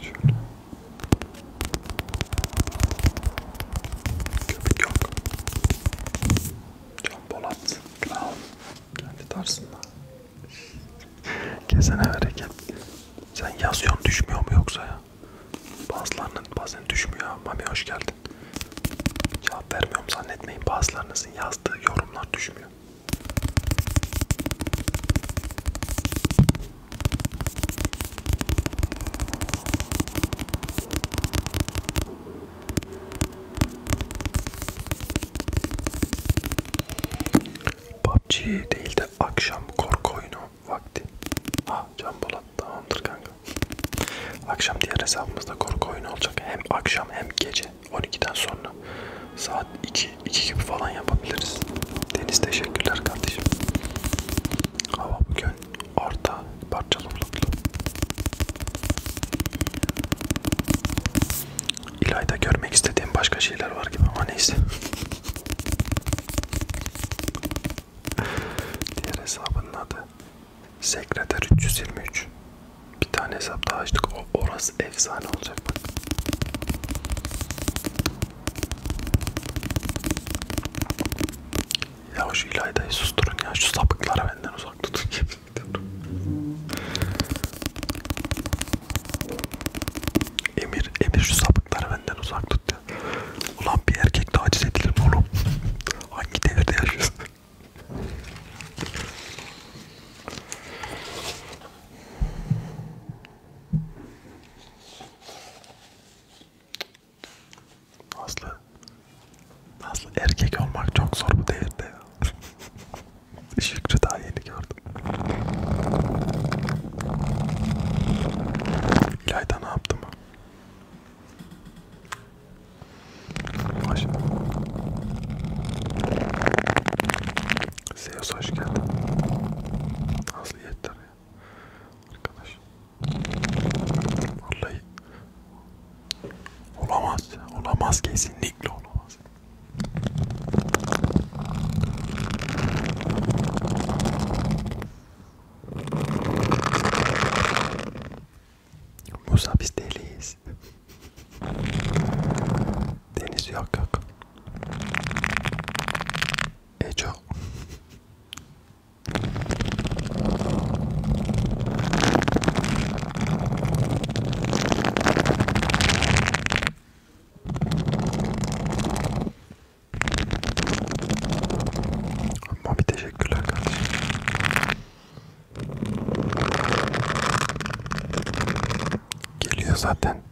Şöyle. Köpük yok. Can Polat. Kral. Kendi tarzında. Kesene hareket. Sen yazıyorsun düşmüyor mu yoksa ya? ya. Bazılarının bazen düşmüyor. Mami hoş geldin. Cevap vermiyorum zannetmeyin. Bazılarınızın yazdığı yorumlar düşmüyor. PUBG değil de akşam korku oyunu vakti. Ha Can Polat tamamdır kanka. Akşam diğer hesabımızda korku oyunu olacak. Hem akşam hem gece 12'den sonra saat 2, 2 gibi falan yapabiliriz. Deniz teşekkürler kardeşim. Hava bugün orta parçalı bulutlu. İlayda görmek istediğim başka şeyler var gibi ama neyse. Diğer hesabının adı Sekreter 323. Bir tane hesap daha açtık. O, orası efsane olacak bak. Ya şu İlayda'yı susturun ya. Şu sapıkları benden uzak tutun. Emir, Emir şu sapıkları benden uzak tut ya. Ulan bir erkek taciz edilir mi oğlum? Hangi devirde yaşıyorsun? Aslı Aslı erkek olmak çok zor bu devirde ya. Şükrü daha yeni gördüm. İlayda ne yaptı mı? Hoş. Zeus hoş geldin. Aslı yeter ya. Arkadaş. Vallahi. Olamaz. Olamaz kesinlikle olamaz. Musa biz deliyiz. Deniz yok yok. Eco. Mami teşekkürler kardeşim. Geliyor zaten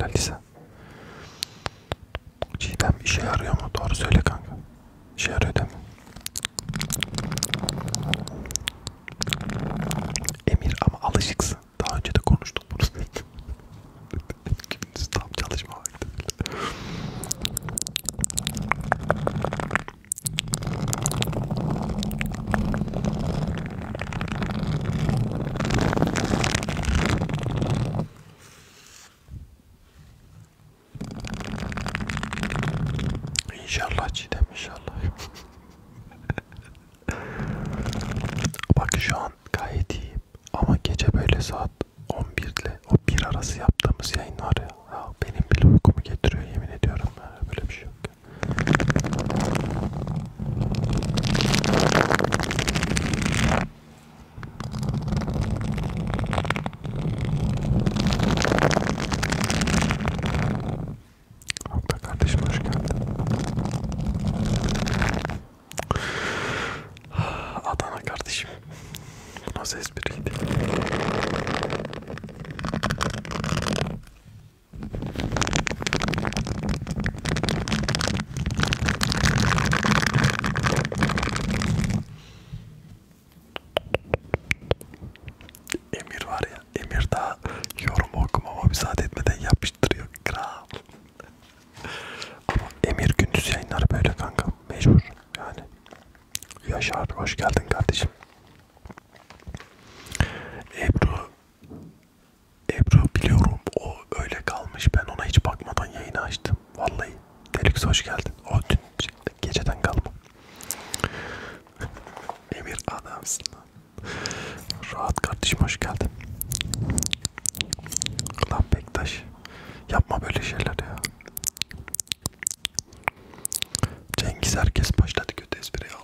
Lalisa. Cidem işe yarıyor mu? Doğru söyle kanka. İşe yarıyor değil mi? Emir ama alışıksın. Daha önce de konuştuk bunu. Kiminiz tam çalışma vakti bile. İnşallah Çiğdem inşallah. Bak şu an gayet iyiyim ama gece böyle saat 11 ile o bir arası yaptığımız yayın var ya, ya benim bile uykumu getiriyor yemin ediyorum ya, böyle bir şey yok. Abla kardeşim hoş geldin. Adana kardeşim. Bu nasıl espriydi? Emir var ya, Emir daha yorum okumama müsaade etmeden yapıştırıyor kral. Ama Emir Gündüz yayınları böyle kanka. Mecbur yani. Yaşar hoş geldin kardeşim. Ebru Ebru biliyorum o öyle kalmış. Ben ona hiç bakmadan yayını açtım. Vallahi. Delix hoş geldin. O dün geceden kalma. Emir adamsın. Rahat kardeşim hoş geldin. Lan Bektaş. Yapma böyle şeyler ya. Cengiz herkes başladı kötü espriye al.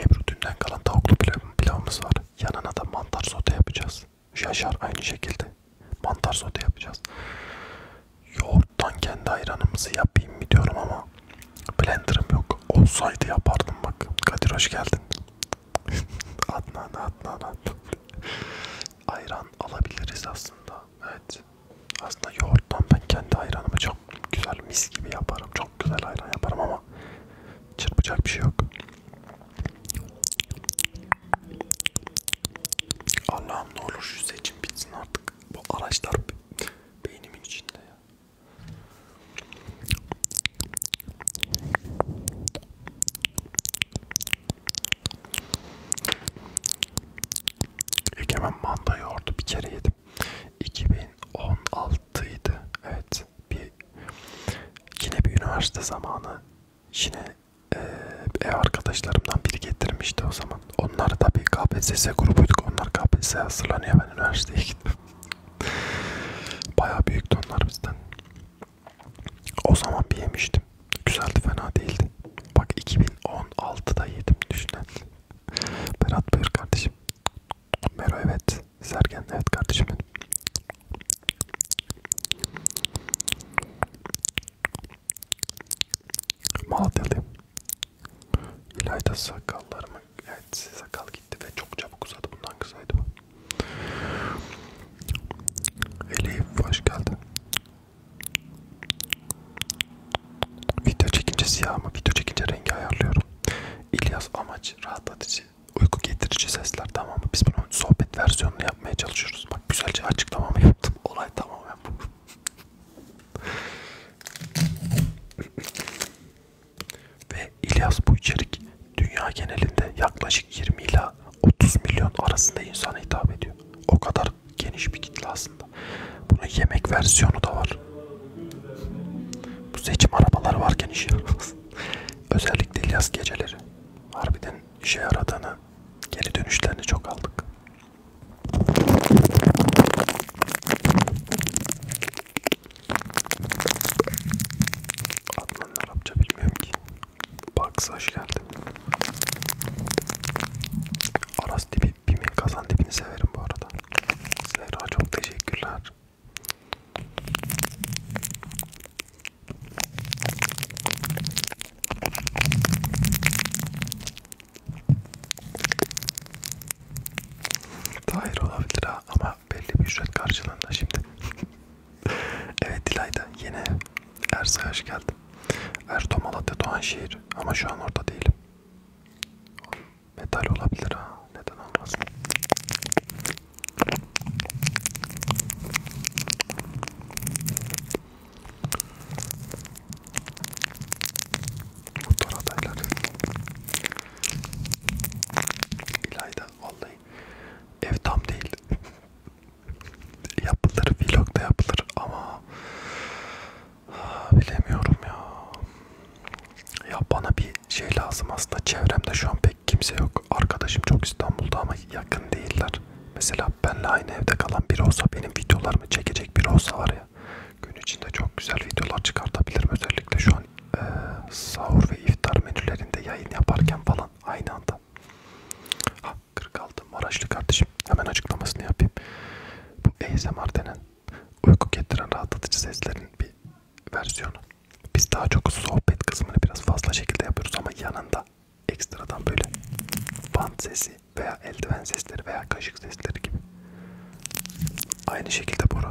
Ebru dünden kalan tavuklu pilav, pilavımız var. Yanına da mantar sote yapacağız. Yaşar aynı şekilde. Mantar sote yapacağız. Yoğurttan kendi ayranımızı yapayım mı diyorum ama blenderım yok. Olsaydı yapardım bak. Kadir hoş geldin. Adnan Adnan Adnan. Ayran alabiliriz aslında. Evet. Aslında yoğurttan ben kendi ayranımı çok güzel mis gibi yaparım. Çok güzel ayran yaparım ama çırpacak bir şey yok. Allah'ım ne olur şu seçim bitsin artık. Bu araçlar beynimin içinde ya. Egemen manda yoğurdu bir kere yedim. 2016'ydı. Evet. Bir yine bir üniversite zamanı yine e, ev arkadaşlarımdan biri getirmişti o zaman. Onlar da bir KPSS grubuyduk. Onlar KPSS hazırlanıyor. Ben üniversiteye gittim. Bayağı büyüktü onlar bizden. O zaman bir yemiştim. Güzeldi fena değildi. Bak 2016'da yedim düşünün. Berat buyur kardeşim. Mero evet. Sergen evet kardeşim benim. Malatyalıyım. İlayda sakallarımı, evet sakal gitti ve çok çabuk uzadı bundan kısaydı bu. Elif hoş geldin. Video çekince siyah mı? Video çekince rengi ayarlıyorum. İlyas amaç rahatlatıcı, uyku getirici sesler tamam mı? Biz bunun sohbet versiyonunu yapmaya çalışıyoruz. Bak güzelce açıklamamı yaptım. Olay tamamen bu. Ve İlyas bu içerik dünya genelinde yaklaşık 20 ila 30 milyon arasında insana hitap ediyor. O kadar geniş bir kitle aslında. Bunun yemek versiyonu da var. Bu seçim arabaları varken iş yaramaz. Özellikle İlyas geceleri. Harbiden işe yaradığını, geri dönüşlerini çok aldık. Adnan Arapça bilmiyorum ki. Bugs hoş geldin. Aras tipi, Bimin kazan tipini severim bu arada. Zehra çok teşekkürler. Tahir olabilir ha ama ama belli bir ücret karşılığında şimdi. evet Dilay'da yine Ersa'ya hoş geldin. Erdo Malatya Doğanşehir ama şu an orada değilim. Metal olabilir ha. Neden olmaz? Motor adayları. İlayda vallahi ev tam değil yapılır, vlog da yapılır ama ha, ah, bilemiyorum ya. Ya bana bir şey lazım aslında. Çevremde şu an pek kimse yok. Arkadaşım çok İstanbul'da ama yakın değiller. Mesela benle aynı evde kalan biri olsa benim videolarımı çekecek biri olsa var ya. Gün içinde çok güzel videolar çıkartabilirim özellikle şu an e, sahur ve iftar menülerinde yayın yaparken falan aynı anda. Ha 46 Maraşlı kardeşim. Hemen açıklamasını yapayım. Bu ASMR denen uyku getiren rahatlatıcı seslerin bir versiyonu. Biz daha çok sohbet kısmını biraz fazla şekilde yapıyoruz ama yanında ekstradan böyle bant sesi veya eldiven sesleri veya kaşık sesleri gibi. Aynı şekilde Bora.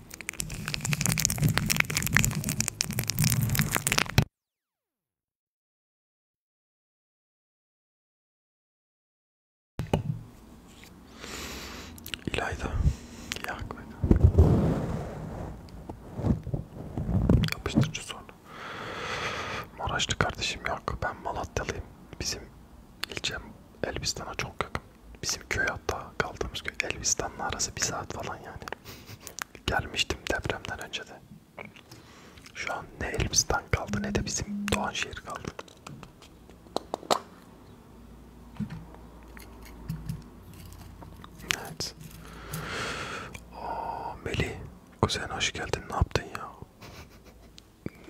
İlayda. Yak beni. Yapıştırıcı sonra. Maraşlı kardeşim yak. Ben Malatyalıyım. Bizim ilçem Elbistan'a çok yakın. Bizim köye hatta kaldığımız gün Elbistan'la arası bir saat falan yani. Gelmiştim depremden önce de. Şu an ne Elbistan kaldı ne de bizim Doğanşehir kaldı. Evet. Aa, Melih, kuzen hoş geldin. Ne yaptın ya?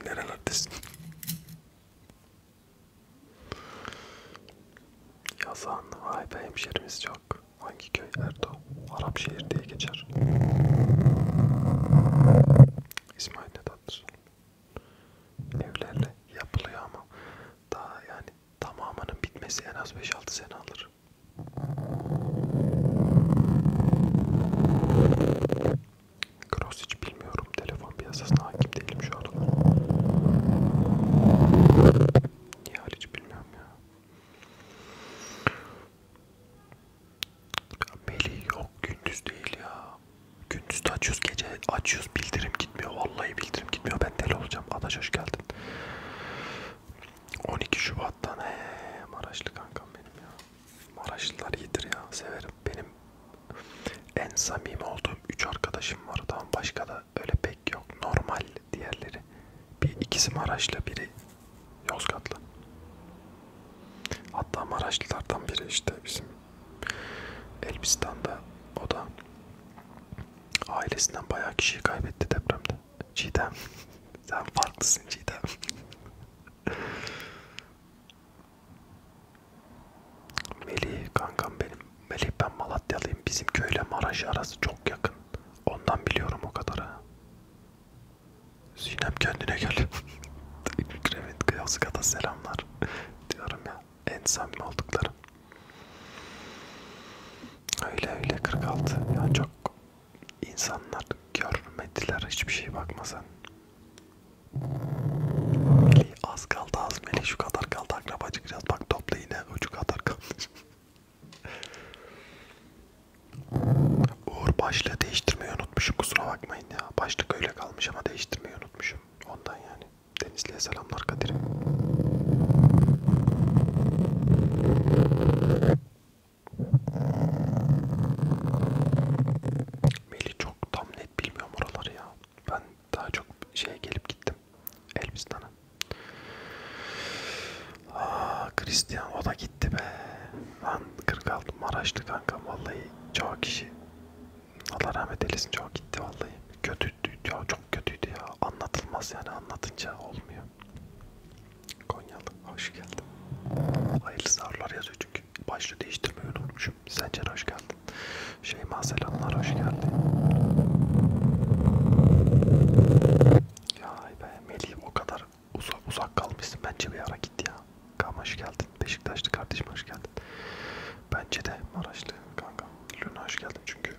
Nerelerdesin? Yazan vay be hemşerimiz çok. Hangi köy Erdo? Arap şehir diye geçer. İsmail Nedat. Evlerle yapılıyor ama daha yani tamamının bitmesi en az 5-6 sene alır. Cross hiç bilmiyorum. Telefon piyasasına hakim değilim şu an. Niye hariç bilmiyorum ya. ya Melih yok gündüz değil ya. Gündüz de açıyoruz gece açıyoruz bildirim gitmiyor. Vallahi bildirim gitmiyor. Ben deli olacağım. Adaş hoş geldin. 12 Şubat'tan he Maraşlı kankam benim ya. Maraşlılar iyidir ya. Severim. Benim en samimi olduğum 3 arkadaşım var. Tamam başka da öyle pek gerek yok. Normal diğerleri. Bir ikisi Maraşlı, biri Yozgatlı. Hatta Maraşlılardan biri işte bizim Elbistan'da o da ailesinden bayağı kişiyi kaybetti depremde. Cidem. Sen farklısın Cidem. Melih kankam benim. Melih ben Malatyalıyım. Bizim köyle Maraş arası çok yakın. Ondan biliyorum o kadarı. Zinem kendine gel. Kremit Kıyasıka'da selamlar. Diyorum ya. En samimi olduklarım. Öyle öyle 46. Yani çok insanlar görmediler hiçbir şey bakmasan. Melih az kaldı az Melih şu kadar kaldı akrabacık biraz bak topla yine ucu kadar kaldı. Uğur başlığı değiştirmeyi unutmuşum kusura bakmayın ya. Başlık öyle kalmış ama değiştirmeyi unutmuşum. Ondan yani. Denizli'ye selamlar Kadir'im. Melih çok tam net bilmiyorum oraları ya. Ben daha çok şeye gelip gittim. Elbistan'a. Aa, Christian o da gitti be. Lan 46 Maraşlı kanka vallahi çoğu kişi. Allah rahmet eylesin çoğu gitti vallahi. Kötüydü ya çok kötüydü ya. Anlatılmaz yani anlatınca olmuyor. Konyalı hoş geldin. Hayırlı sağırlar yazıyor çünkü. Başlığı değiştirmeyi unutmuşum. Sencer hoş geldin. Şeyma selamlar hoş geldin. Ya be Melih o kadar uzak, uzak kalmışsın bence bir ara git ya. Kama hoş geldin. Beşiktaşlı kardeşim hoş geldin. Bence de Maraşlı kanka. Luna hoş geldin çünkü.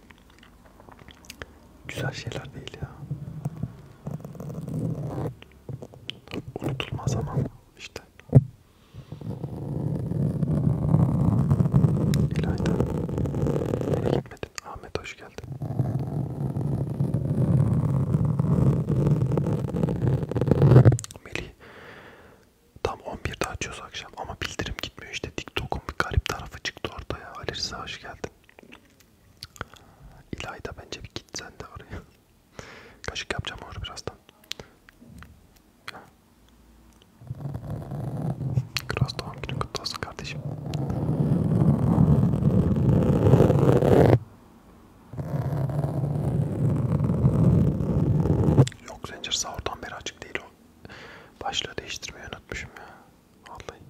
Güzel şeyler değil ya. Unutulmaz ama işte. İlayda Nereye gitmedin? Ahmet hoş geldin. Melih tam 11'de açıyoruz akşam ama bildirim gitmiyor işte TikTok'un bir garip tarafı çıktı ortaya. Ali Rıza hoş geldin. İlayda bence bir git sen de oraya. Kaşık yapacağım orada birazdan. Ha, Kras doğum günün kutlu olsun kardeşim. Yok zincir sahurdan beri açık değil o. Başlığı değiştirmeyi unutmuşum ya. Vallahi.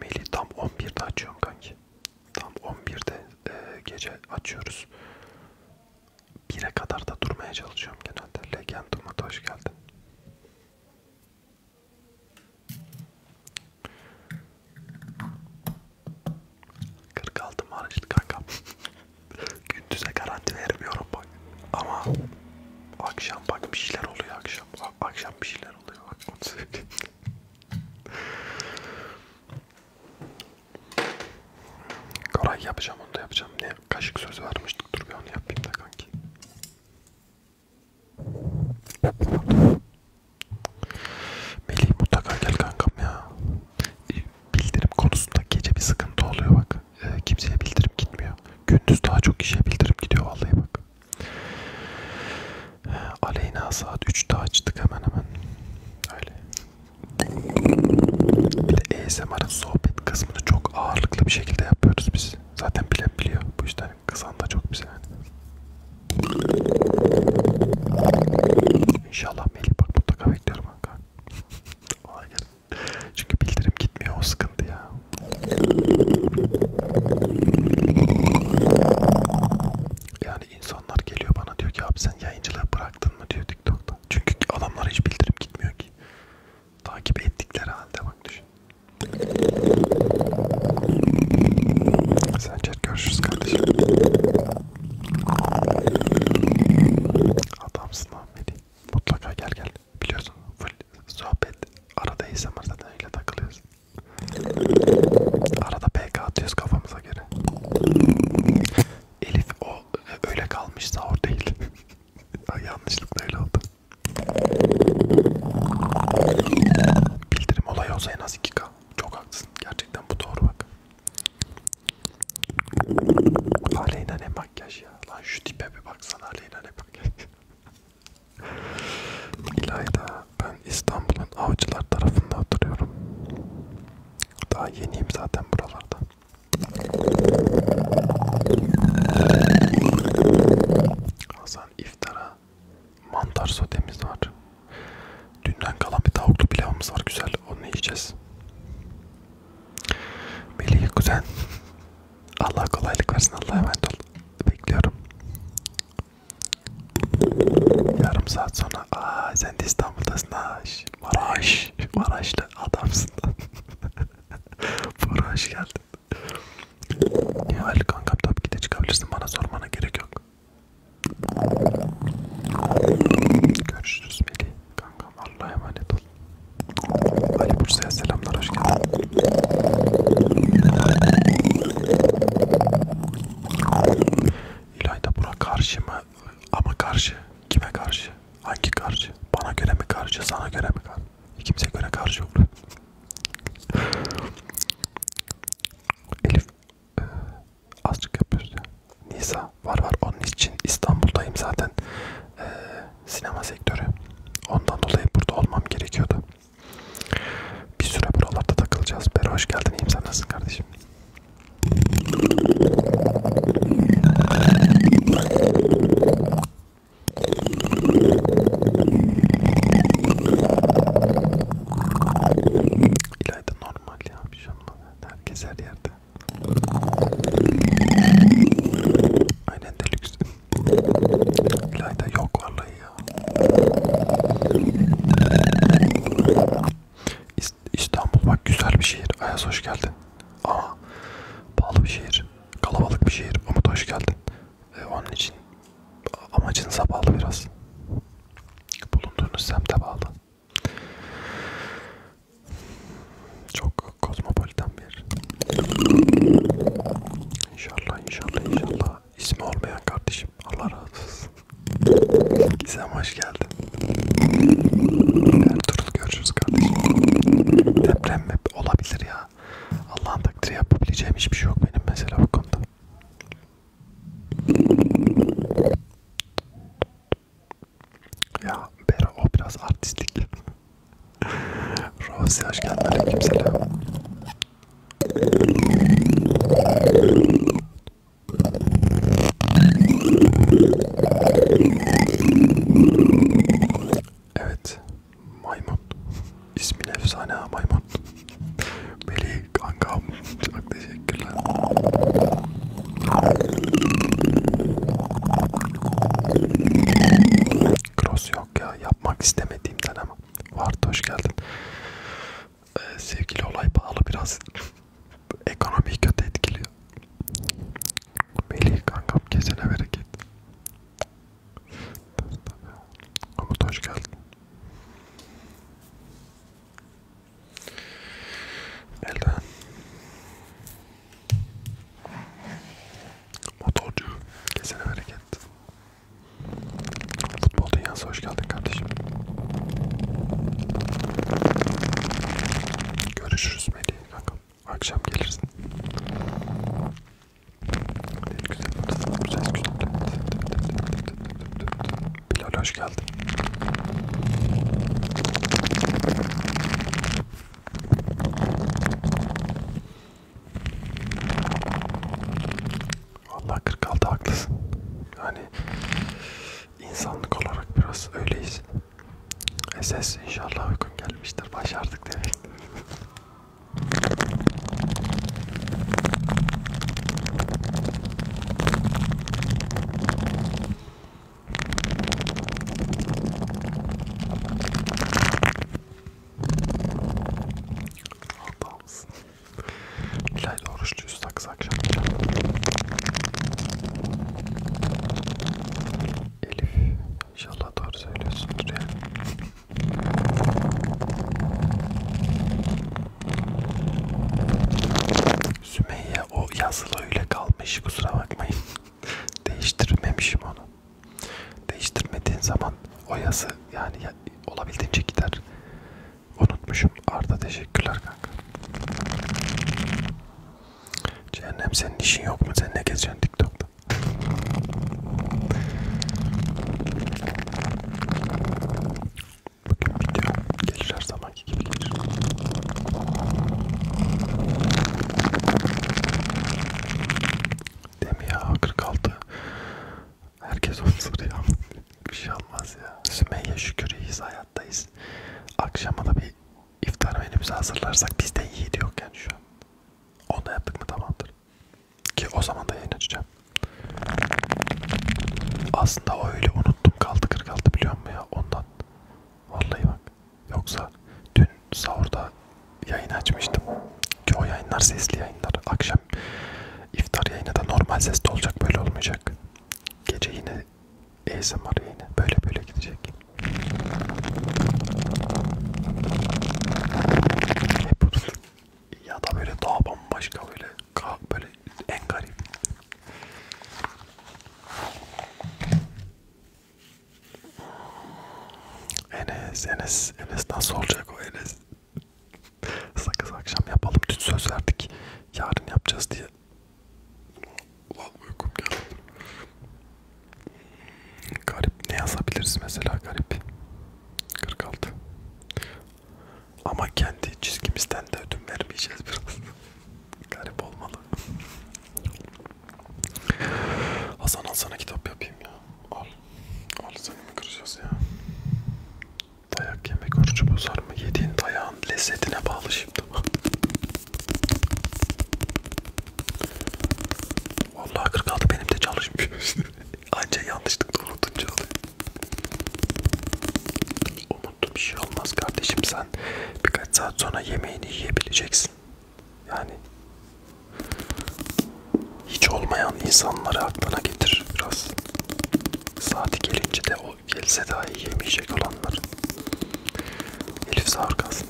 Maili tam 11'de açıyorum kanki. Tam 11'de e, gece açıyoruz. 1'e kadar da durmaya çalışıyorum genelde. Legend Umut hoş geldin. Kırk altı maaşlı kanka. Gündüze garanti vermiyorum bak. Ama akşam bak bir şeyler oluyor akşam. Akşam bir şeyler oluyor. Bak onu söyleyeyim. Koray yapacağım onu da yapacağım. Ne kaşık sözü vermiştik. Dur bir onu yapayım da kanki. Melih mutlaka gel kankam ya bildirim konusunda gece bir sıkıntı oluyor bak. E, kimseye bildirim gitmiyor. Gündüz daha çok kişiye bildirim gidiyor vallahi bak. E, Aleyna saat 3'te açtık hemen hemen. Öyle. Bir de ASMR'ın sohbet kısmını çok ağırlıklı bir şekilde yapıyoruz biz. Zaten bilen biliyor. Bu işten kızan da çok bize yani. İnşallah Melih bak mutlaka bekliyorum kanka. Olay gel. Çünkü bildirim gitmiyor o sıkıntı ya. Yani insanlar geliyor bana diyor ki abi sen yayıncılığı bıraktın mı diyor TikTok'ta. Çünkü adamlara hiç bildirim gitmiyor ki. Takip ettikleri halde bak düşün. Sencer görüşürüz kardeşim. Adamsın Allah'ım Melih mutlaka gel gel. Biliyorsun full sohbet arada ASMR zaten öyle takılıyoruz. Arada PK atıyoruz kafamıza göre. Elif o öyle kalmış sahur değil. Yanlışlıkla öyle oldu. Bildirim olayı olsa en az 2K. Çok haklısın. Gerçekten bu doğru bak. Aleyna ne makyaj ya. Lan şu tipe bir baksana Aleyna ne makyaj. İlayda ben İstanbul'un avcılar tarafında oturuyorum. Daha yeniyim zaten buralarda. Hasan iftara mantar sotemiz var. Dünden kalan bir tavuklu pilavımız var güzel. Onu yiyeceğiz. Melih kuzen. Allah kolaylık versin. Allah'a emanet ol. Bekliyorum. Yarım saat sonra. Aa sen de İstanbul'dasın ha. Maraş. Maraşlı adamsın lan. Maraş geldin. Nihal kankam tabii ki de çıkabilirsin. Bana sormana gerek yok. Görüşürüz Melih. Kankam Allah'a emanet ol. Ali Bursa'ya selamlar hoş geldin. İlayda bura karşı mı? Ama karşı. Kime karşı? Hangi karşı? Bana göre mi karşı? Sana göre mi karşı? Kimse göre karşı olur. Elif e, azıcık yapıyoruz ya. Nisa var var onun için İstanbul'dayım zaten ee, sinema sektörü ondan dolayı burada olmam gerekiyordu. Bir süre buralarda takılacağız. Bera hoş geldin iyiyim sen nasılsın kardeşim? İlayda normal ya bir şey olmadı. Herkes her yerde. Aynen de lüks. Layda yok vallahi ya. İstanbul bak güzel bir şehir. Ayaz hoş geldin. Ama pahalı bir şehir. Kalabalık bir şehir. Umut hoş geldin. Ee, onun için amacınıza bağlı biraz. Bulunduğunuz semte bağlı. Çok kozmopolitan bir yer. İnşallah inşallah inşallah ismi olmayan kardeşim Allah razı olsun. Gizem hoş geldin. Ertuğrul görüşürüz kardeşim. Deprem olabilir ya. Allah'ın takdiri yapabileceğim hiçbir şey yok benim mesela bu konuda. Ya Bera o biraz artistlik. Rozi hoş geldin. Aleykümselam. Evet. Maymun. İsmin efsane ha maymun. Melih kankam. Çok teşekkürler. Cross yok ya yapmak istemediğimden ama Vardı hoş geldin ee, Sevgili olay pahalı biraz Ekonomiyi kötü etkiliyor Melih kankam kesene bereket Umut hoş geldin Elden Motorcu kesene bereket. Futbol dünyası hoş geldin kardeşim. Görüşürüz Melih kankam. Akşam gelirsin. Ne güzel bir ses güzel. Bilal hoş geldin. Vallahi 46 haklısın. Yani insanlık olarak biraz öyleyiz. Ses inşallah uykun gelmiştir. Başardık demek. Adamsın. İlayda oruçluyuz sakız akşam yiyeceğim. Elif inşallah doğru söylüyorsundur yani. Sümeyye o yazılı öyle kalmış kusura bakmayın değiştirmemişim onu. Değiştirmediğin zaman o yazı yani ya, olabildiğince gider. Unutmuşum. Arda teşekkürler kanka. Cehennem senin işin yok mu? Sen ne gezeceksin TikTok'ta? Bugün video gelir her zaman. Sanki gibi gelir. Değil mi ya 46? Herkes onu soruyor. bir şey olmaz ya. Sümeyye şükür iyiyiz hayattayız. Akşama da bir iftar menümüzü hazırlarsak bizde yiğidi yok yani şu an. Onu da yaptık mı tamamdır. Ki o zaman da yayın açacağım. Aslında öyle unuttum kaldı 46 biliyor musun ya ondan. Vallahi bak. Yoksa dün sahurda yayın açmıştım ki o yayınlar sesli yayınlar. Akşam iftar yayını da normal sesli olacak böyle olmayacak. Gece yine ASMR yayını böyle böyle gidecek. Ya da böyle daha bambaşka böyle böyle en garip. Enes, Enes, Enes nasıl olacak o Enes? Sakız akşam yapalım. Dün söz verdik. Yarın yapacağız diye. Ulan uykum geldi. Garip ne yazabiliriz mesela garip? 46. Ama kendi çizgimizden de ödün vermeyeceğiz biraz. garip olmalı. Hasan al sana kitap yapayım ya. Al. Al seni mi kıracağız ya? Dayak yemek orucu bozar mı? Yediğin dayağın lezzetine bağlı şimdi. Vallahi 46 benim de çalışmıyor. Anca yanlışlıkla unutunca oluyor. Umutlu bir şey olmaz kardeşim sen birkaç saat sonra yemeğini yiyebileceksin olsun. Yani hiç olmayan insanları aklına getir biraz. Saati gelince de o gelse dahi yemeyecek olanlar. Elif sarkasın.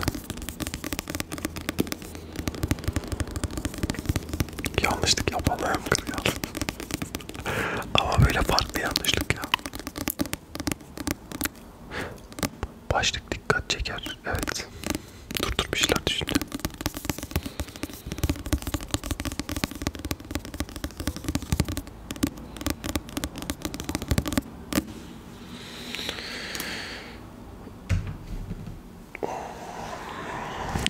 Yanlışlık yapalım. Ama böyle farklı yanlışlık ya. Başlık dikkat çeker. Evet. Durdurmuşlar düşündü.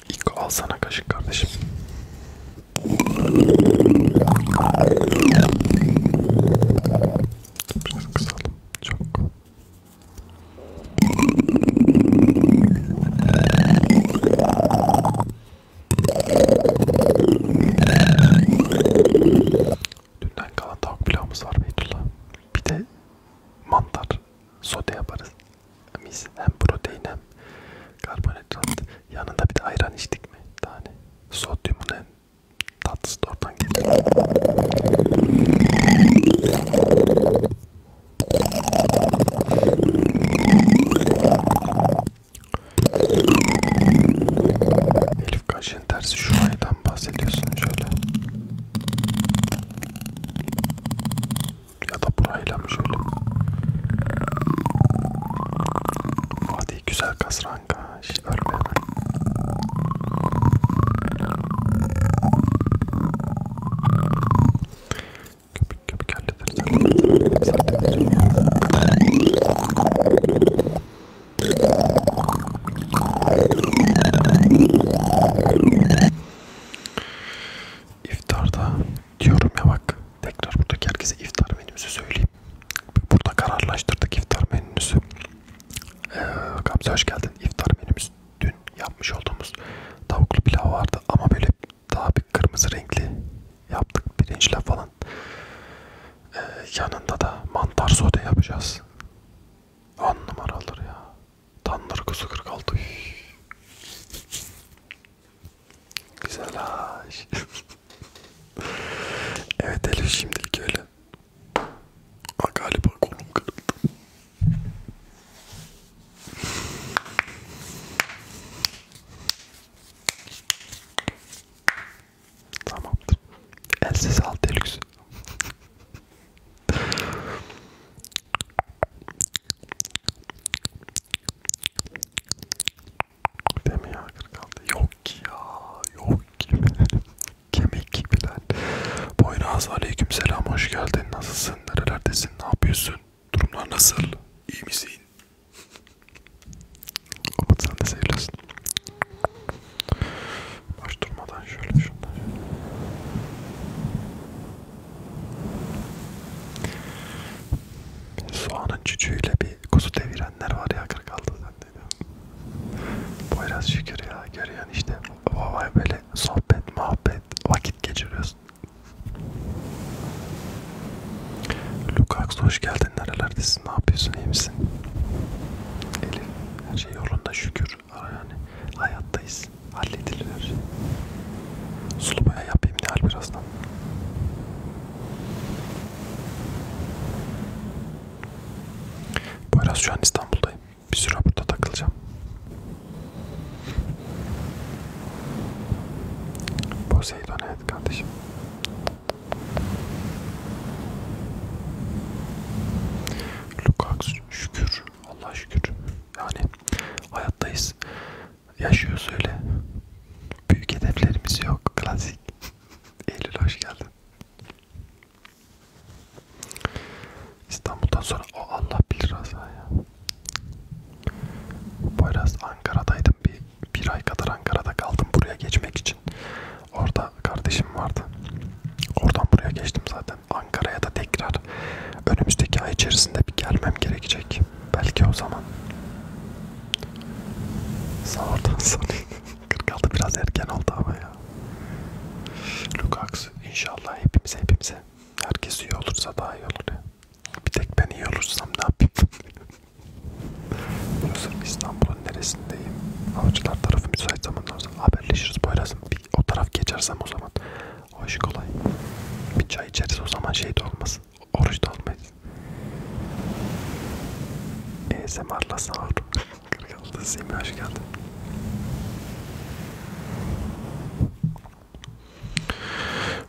İlk alsana kaşık kardeşim. Biraz kısalım. Çok. Dünden kalan tavuk pilavımız var Beytullah. Bir de mantar sote yaparız. Biz hem protein hem karbonhidrat. Yanında bir de ayran içtik mi? Tane. Sodyumun en Tatlısı da oradan geliyor. Elif kaşın tersi şu aydan bahsediyorsun şöyle. Ya da burayla mı şöyle? Hadi güzel kasra kanka. Şş, ölme hemen. Köpük köpük hallederiz. İftarda diyorum ya bak tekrar buradaki herkese iftar menümüzü söyleyeyim burada kararlaştırdık iftar menümüzü. Ee, Gamze hoş geldin. İftar menümüz dün yapmış olduğumuz tavuklu pilav vardı ama böyle daha bir kırmızı renkli yaptık pirinçle falan. Ee, yanında da mantar sote yapacağız. On numaralar ya. Tandır kuzu 46. Güzel ha. evet Elif şimdilik öyle. Ha galiba kolum kırıldı. Tamamdır. Elsiz al delüksün. Deme ya 46. Yok ki ya. Yok ki kemik gibiler. Boynaz aleyküm selam hoş geldin. Nasılsın? Nerelerdesin? Ne yapıyorsun? Durumlar nasıl? İyi misin? Umut sen de seviyorsun. Baş durmadan şöyle şunları. Soğanın cücüğüyle bir kuzu devirenler var ya 46'da sende dedim. Poyraz şükür ya görüyorsun işte. Vay böyle sohbet muhabbet vakit geçiriyorsun. Lukax hoş geldin nerelerdesin ne yapıyorsun iyi misin? Elif her şey yolunda şükür yani hayattayız halledilir her şey. Sulu boya yapayım Nihal birazdan. Poyraz şu an İstanbul'dayım. Bir süre burada takılacağım. Poseidon evet kardeşim. Lukaku şükür. Allah şükür. Yani hayattayız. Yaşıyoruz öyle. Büyük hedeflerimiz yok. Klasik. Eylül hoş geldin. İstanbul'dan sonra o Allah bilir Raza ya. Poyraz Ankara'daydım bir, bir ay kadar Ankara'da kaldım buraya geçmek için. Orada kardeşim vardı. Oradan buraya geçtim zaten. Ankara'ya da tekrar önümüzdeki ay içerisinde bir gelmem gerekecek. Belki o zaman. Sağ oradan sonra. 46 biraz erken oldu ama ya. Lukaku inşallah hepimize hepimize. Herkes iyi olursa daha iyi olur ya. Bir tek ben iyi olursam ne yapayım? Biliyorsun İstanbul'un neresindeyim? Avcılar tarafı müsait zamanlar zaman haberleşiriz boyrazım. Bir o taraf geçersem o zaman o iş kolay. Bir çay içeriz o zaman şey de olmaz. Oruç da olmayız. ASMR'la e sağ olun. Kırkanlı'da Semih hoş geldin.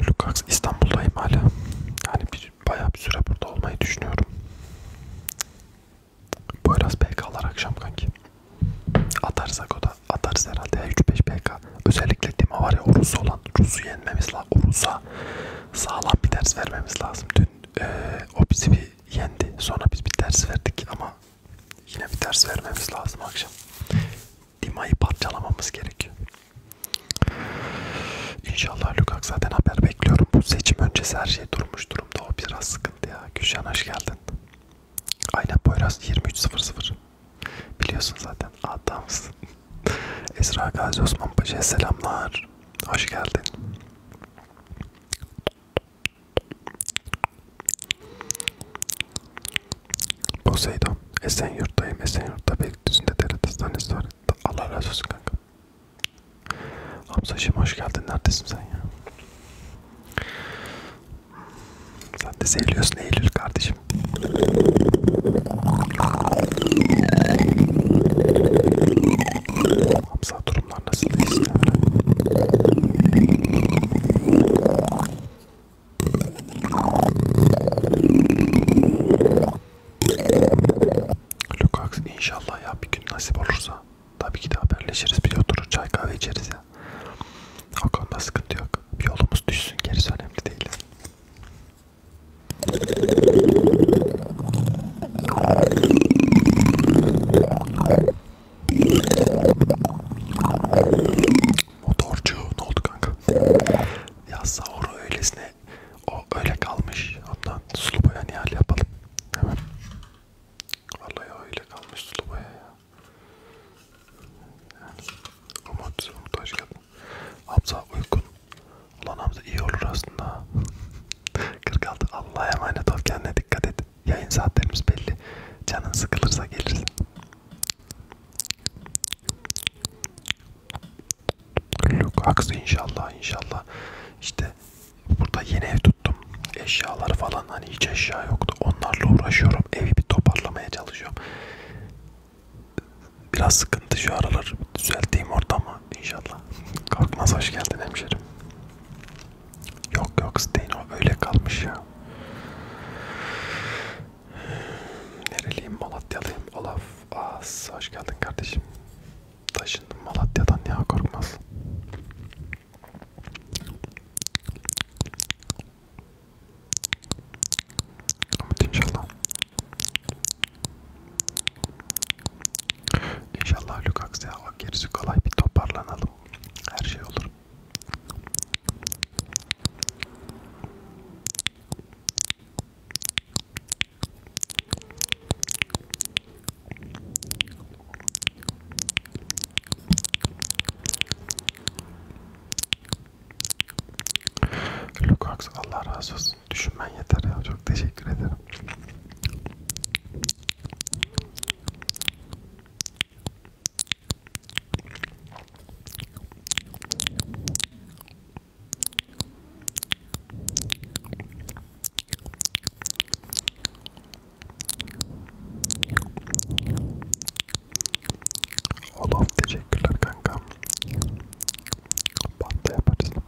Lukax İstanbul'dayım hala. Yani bir, bayağı bir süre burada olmayı düşünüyorum. Boyraz PK'lar akşam kanki. Atarsak o da atarız herhalde 3-5 PK. Özellikle Dima var ya o Rus olan Rus'u yenmemiz lazım. O Rus'a sağlam bir ders vermemiz lazım. Dün ee, o bizi bir bizi yendi. Sonra biz bir ders verdik ama yine bir ders vermemiz lazım akşam. Dima'yı parçalamamız gerekiyor. İnşallah Lukak zaten haber bekliyorum. Bu seçim öncesi her şey durmuş durumda. O biraz sıkıntı ya. Gülşen hoş geldin. Aynen Poyraz 23.00. Biliyorsun zaten adamsın. Esra Gazi Osman Paşa'ya selamlar. Hoş geldin. Poseidon, Esenyurt'tayım. Esenyurt'ta Beylikdüzü'nde devlet hastanesi var. Allah razı olsun kanka. Hamzacığım hoş geldin. Neredesin sen ya? Sen de seviyorsun Eylül kardeşim. Hamza durumlar nasıl değilse. Lukax inşallah ya bir gün nasip olursa tabii ki de haberleşiriz bir oturur çay kahve içeriz ya. O konuda sıkıntı yok. Bir yolumuz düşsün gerisi önemli değil. Motorcu ne oldu kanka? Ya sahuru öylesine o öyle kalmış. Ondan sulu boya nihal yapalım. Hemen. Vallahi öyle kalmış sulu boya ya. Yani, umut, umut hoş geldin. Hamza uykun. Ulan Hamza iyi olur aslında. 46 Allah'a emanet ol kendine dikkat et. Yayın saatlerimiz belli. Canın sıkılırsa gelirsin. Lukax inşallah inşallah. İşte burada yeni ev tuttum. Eşyaları falan hani hiç eşya yoktu. Onlarla uğraşıyorum. Evi bir toparlamaya çalışıyorum. Biraz sıkıntı şu aralar düzelteyim ortamı inşallah. Kalkmaz hoş geldin hemşerim. Yok yok Steno öyle kalmış ya. Nereliyim Malatyalıyım Olaf. As hoş geldin kardeşim. Taşındım Malatya'dan ya korkmaz. Umut inşallah. İnşallah Lukaku'ya gerisi kolay bir toparlanalım. Her şey olur. Lukaku Allah razı olsun. Düşünmen yeter ya. Çok teşekkür ederim. Olaf teşekkürler kankam. Pasta yaparız.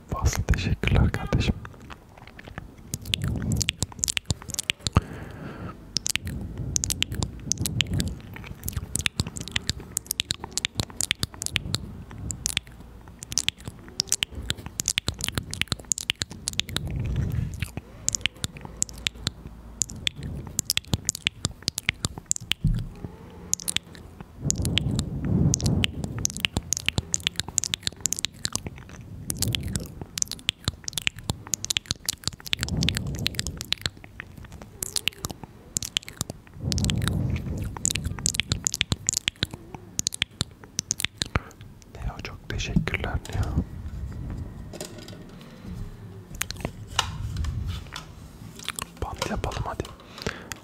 Fazla teşekkürler kardeşim. Neo çok teşekkürler Neo. Bant yapalım hadi.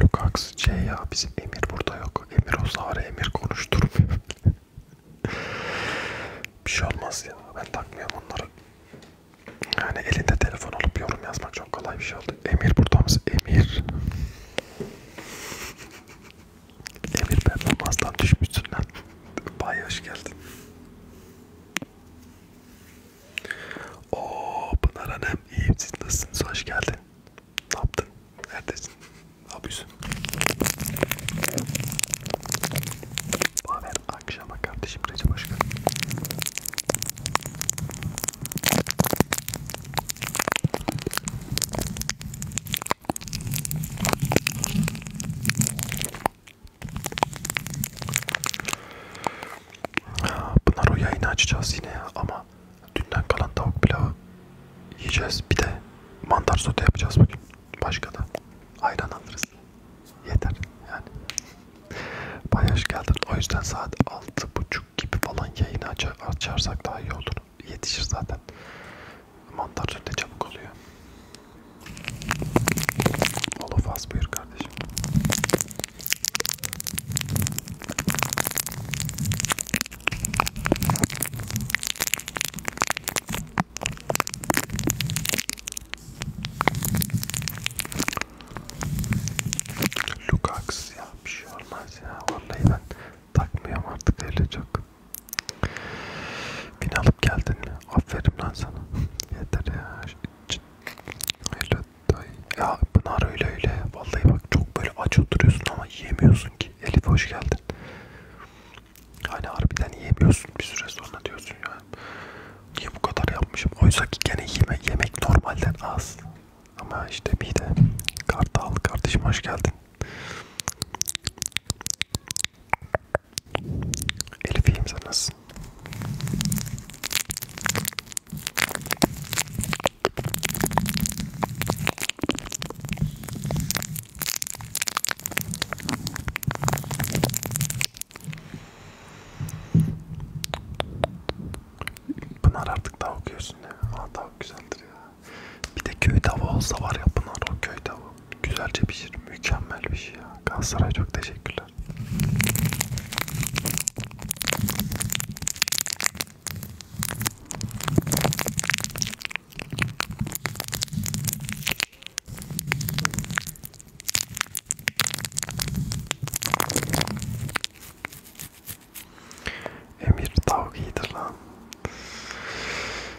Lukax C ya bizim Emir burada yok. Emir o zahre Emir konuşturmuyor. Bir şey olmaz ya. Ben takmıyorum onları. Yani elinde telefon olup yorum yazmak çok kolay bir şey oldu. Emir burada mısın? Emir. Emir ben namazdan düşmüşsün lan. Bay hoş geldin. Oo Pınar Hanım iyi siz nasılsınız hoş geldin. Ne yaptın? Neredesin? Ne yapıyorsun? Baver akşama kardeşim Recep hoş geldin. Bunlar o yayını açacağız yine ya ama dünden kalan tavuk pilavı yiyeceğiz. Bir de mantar sote yapacağız bugün. Başka da ayran alırız. Yeter yani. Bayaş geldin. O yüzden saat 6.30 gibi falan yayını açarsak daha iyi olur. Yetişir zaten. Mantar ne çabuk oluyor. Holofaz buyur kardeşim. Lukax ya bir şey olmaz ya vallahi ben takmıyorum artık öyle çok. Beni alıp geldin mi? Aferin lan sana. Yeter ya. Öyle dayı. Ya Pınar öyle öyle. Vallahi bak çok böyle aç oturuyorsun ama yiyemiyorsun ki. Elif hoş geldin. Hani harbiden yiyemiyorsun bir süre sonra diyorsun yani. Niye bu kadar yapmışım? Oysa ki gene yeme, yemek normalden az. Ama işte bir de Kartal kardeşim hoş geldin. Elif iyiyim sen nasılsın? Pınar artık daha okuyorsun ya. Aa, daha güzeldir ya. Bir de köy tava olsa var ya Pınar o köy tava güzelce pişir. Şey, mükemmel bir şey ya. Galatasaray çok teşekkürler. Emir tavuk iyidir lan.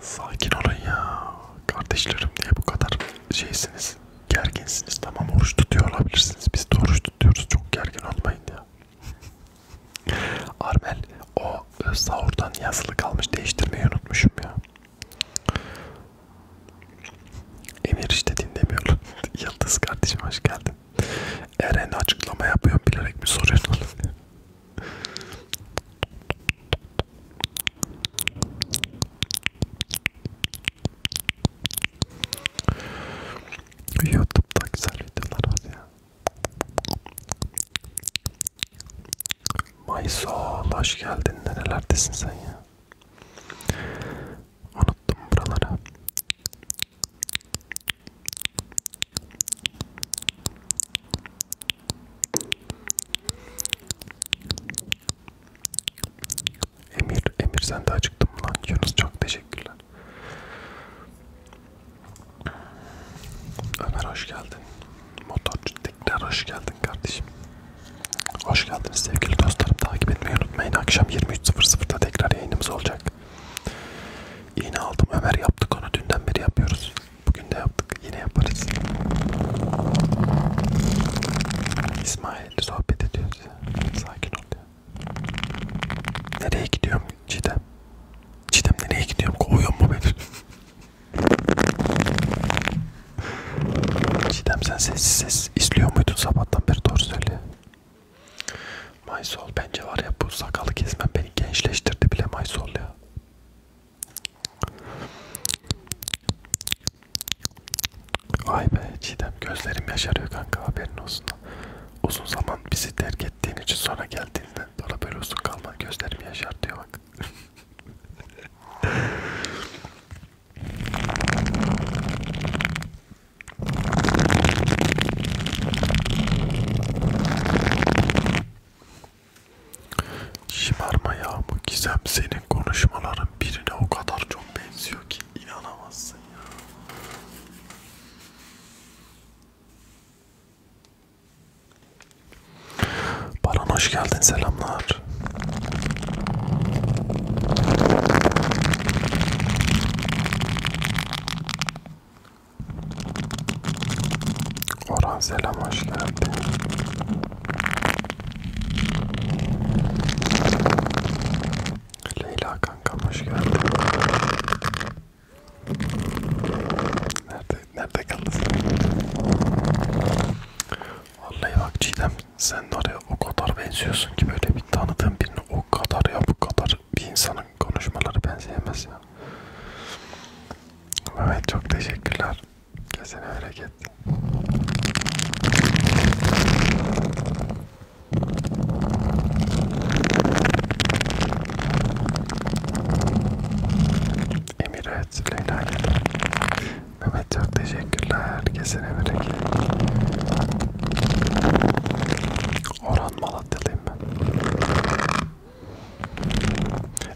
Sakin olun ya. Kardeşlerim diye bu kadar şeysiniz. Gerginsiniz. Tamam oruç tutuyor olabilirsiniz. Biz de oruç tutuyoruz. Çok gergin olmayın ya. Armel o e, sahurdan yazılı kalmış. Değiştirmeyi unutmuşum ya. Emir işte dinlemiyor. Yıldız kardeşim hoş geldin. Eren açıklama yapıyor bilerek mi soruyorsun? YouTube'da güzel videolar var ya. Maysol hoş geldin. Nerelerdesin sen ya? Unuttum buraları. Emir, Emir sen de acıktın mı lan Yunus? Çok teşekkürler. Ömer hoş geldin. Motorcu tekrar hoş geldin kardeşim. Hoş geldiniz sevgili dostlarım. Takip etmeyi unutmayın. Akşam 23.00'da tekrar yayınımız olacak. Yine aldım Ömer yaptık onu. Dünden beri yapıyoruz. Bugün de yaptık. Yine yaparız. İsmail sohbet ediyoruz ya. Sakin ol ya. Nereye gidiyorum Çiğdem? Çiğdem nereye gidiyorum? Kovuyor mu beni? Çiğdem sen sessiz sessiz izliyor muydun sabahtan beri doğru söyle. Maysol bence var ya bu sakalı kesmem beni gençleştirdi bile Maysol ya. Ay be Çiğdem gözlerim yaşarıyor kanka haberin olsun. Uzun zaman bizi terk ettiğin için sonra geldiğinden sonra böyle uzun kalman gözlerim yaşar diyor bak. Şımarma Yağmur Gizem senin konuşmaların birine o kadar çok benziyor ki inanamazsın ya. Baran hoş geldin selamlar. Orhan selam hoş geldin. Leyla kanka hoş geldin. Nerede nerede kaldı sen? Vallahi bak Cidem sen oraya o kadar benziyorsun ki böyle bir tanıdığım birini o kadar ya bu kadar bir insanın konuşmaları ben sevmez ya. Mehmet çok teşekkürler. Kesin hareket. Emir evet, Leyla geldi. Mehmet çok teşekkürler. Kesin hareket. Orhan Malatyalıyım ben.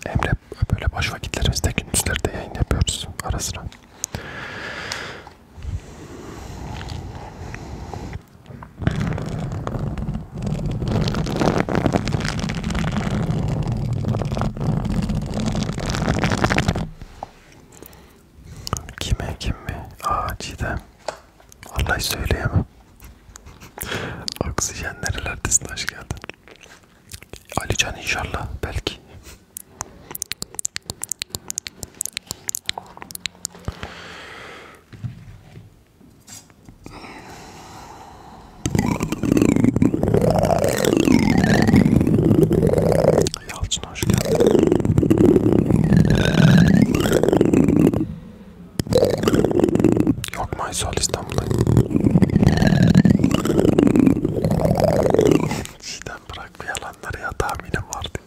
Emre böyle boş vakitlerimizde gündüzleri de yayın yapıyoruz ara sıra. Kime kim mi? Aa Cidem. Vallahi söyleyemem. Oksijen nerelerdesin hoş geldin. Alican inşallah belki. Yalçın hoş geldin. Yok Maysol İstanbul'dayım. Sizden bırak bu yalanları ya tahminim vardı.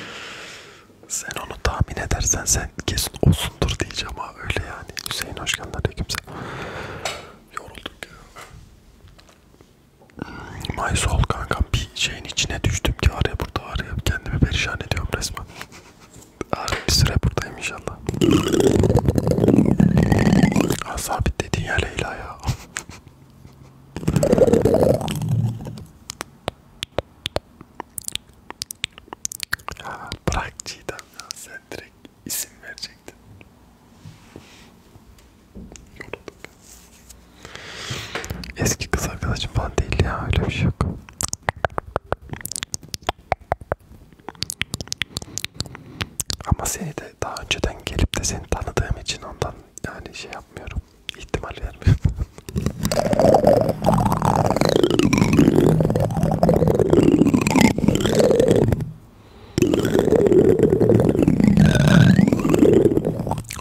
sen onu tahmin edersen sen kesin olsundur diyeceğim ha öyle yani. Hüseyin hoş geldin aleykümselam. Yoruldum ya. Hmm, Maysol kankam bir şeyin içine düştüm ki araya burada araya kendimi perişan ediyorum resmen bir süre buradayım inşallah. Ha, sabit dediğin ya Leyla ya. ya bırak Cidem ya sen direkt isim verecektin. Eski kız arkadaşım falan değil ya öyle bir şey yok. Ama seni de daha önceden gelip de seni tanıdığım için ondan yani şey yapmıyorum. İhtimal vermiyorum.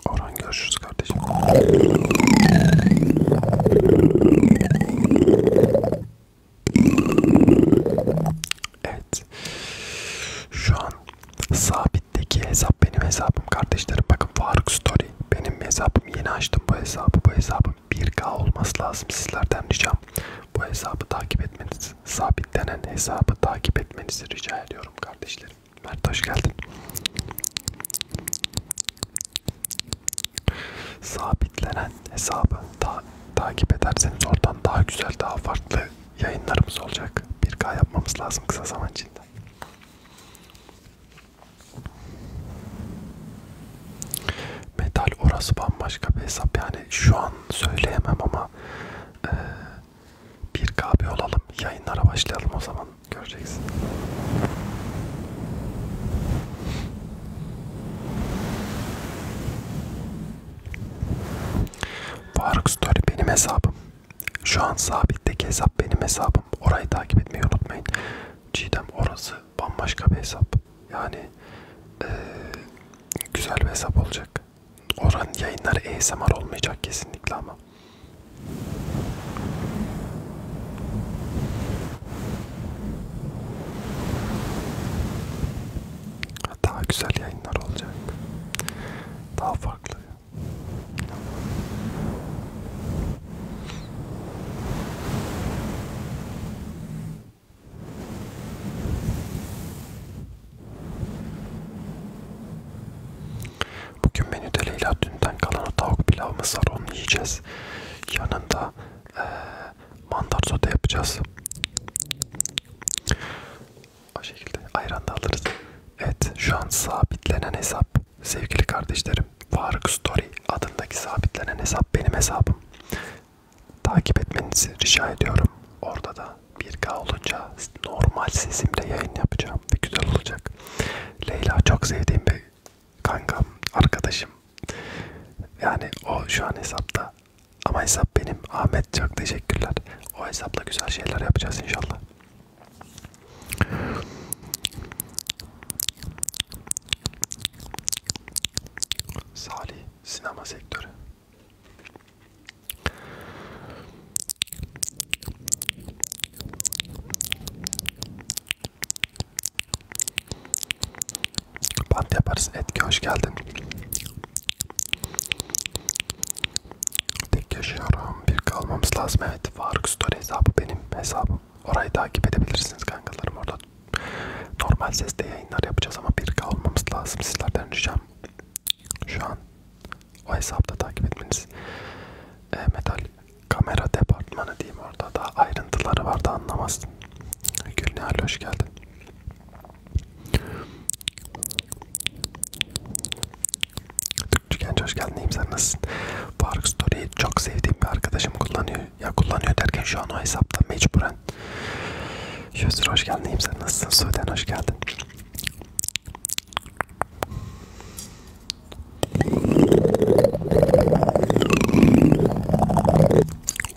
Orhan görüşürüz kardeşim. Evet. Şu an sabitteki hesap benim hesabım kardeşlerim. Bakın Faruk Story benim hesabım. Yeni açtım bu hesabı. Bu hesabın 1K olması lazım. Sizlerden ricam bu hesabı takip etmeniz, sabitlenen hesabı takip etmenizi rica ediyorum kardeşlerim. Mert hoş geldin. Sabitlenen hesabı ta takip ederseniz oradan daha güzel, daha farklı yayınlarımız olacak. 1K yapmamız lazım kısa zaman içinde. Metal orası bambaşka bir hesap. Yani şu an söyleyemem ama e, 1K bir olalım. Yayınlara başlayalım o zaman. Göreceksin. Faruk Story benim hesabım. Şu an sabitteki hesap benim hesabım. Orayı takip etmeyi unutmayın. Cidem orası bambaşka bir hesap. Yani ee, güzel bir hesap olacak. Oranın yayınları ASMR olmayacak kesinlikle ama. Daha güzel yayınlar olacak. Daha farklı. Bugün menüde Leyla dünden kalan o tavuk pilav mısır onu yiyeceğiz. Yanında e, ee, mantar sote yapacağız. O şekilde ayran da alırız. Evet şu an sabitlenen hesap sevgili kardeşlerim. Faruk Story adındaki sabitlenen hesap benim hesabım. Takip etmenizi rica ediyorum. Orada da 1K olunca normal sesimle yayın yapacağım ve güzel olacak. Leyla çok sevdiğim bir kankam, arkadaşım. Yani o şu an hesapta. Ama hesap benim. Ahmet çok teşekkürler. O hesapla güzel şeyler yapacağız inşallah. Salih sinema sektörü. Bant yaparız. Etki hoş geldin. Tek yaşıyorum. Bir kalmamız lazım. Evet. Faruk Story hesabı benim hesabım. Orayı takip edebilirsiniz kankalarım. Orada normal sesle yayınlar yapacağız ama bir kalmamız lazım. Sizlerden ricam. Şu an o hesapta takip etmeniz. E, metal kamera departmanı diyeyim orada da ayrıntıları vardı anlamazsın. Gülnihal hoş geldin. Türkçüken hoş geldin. İyiyim sen nasılsın? Fark Story'yi çok sevdiğim bir arkadaşım kullanıyor. Ya kullanıyor derken şu an o hesapta mecburen. Yusur hoş geldin. İyiyim sen nasılsın? Sudan hoş geldin.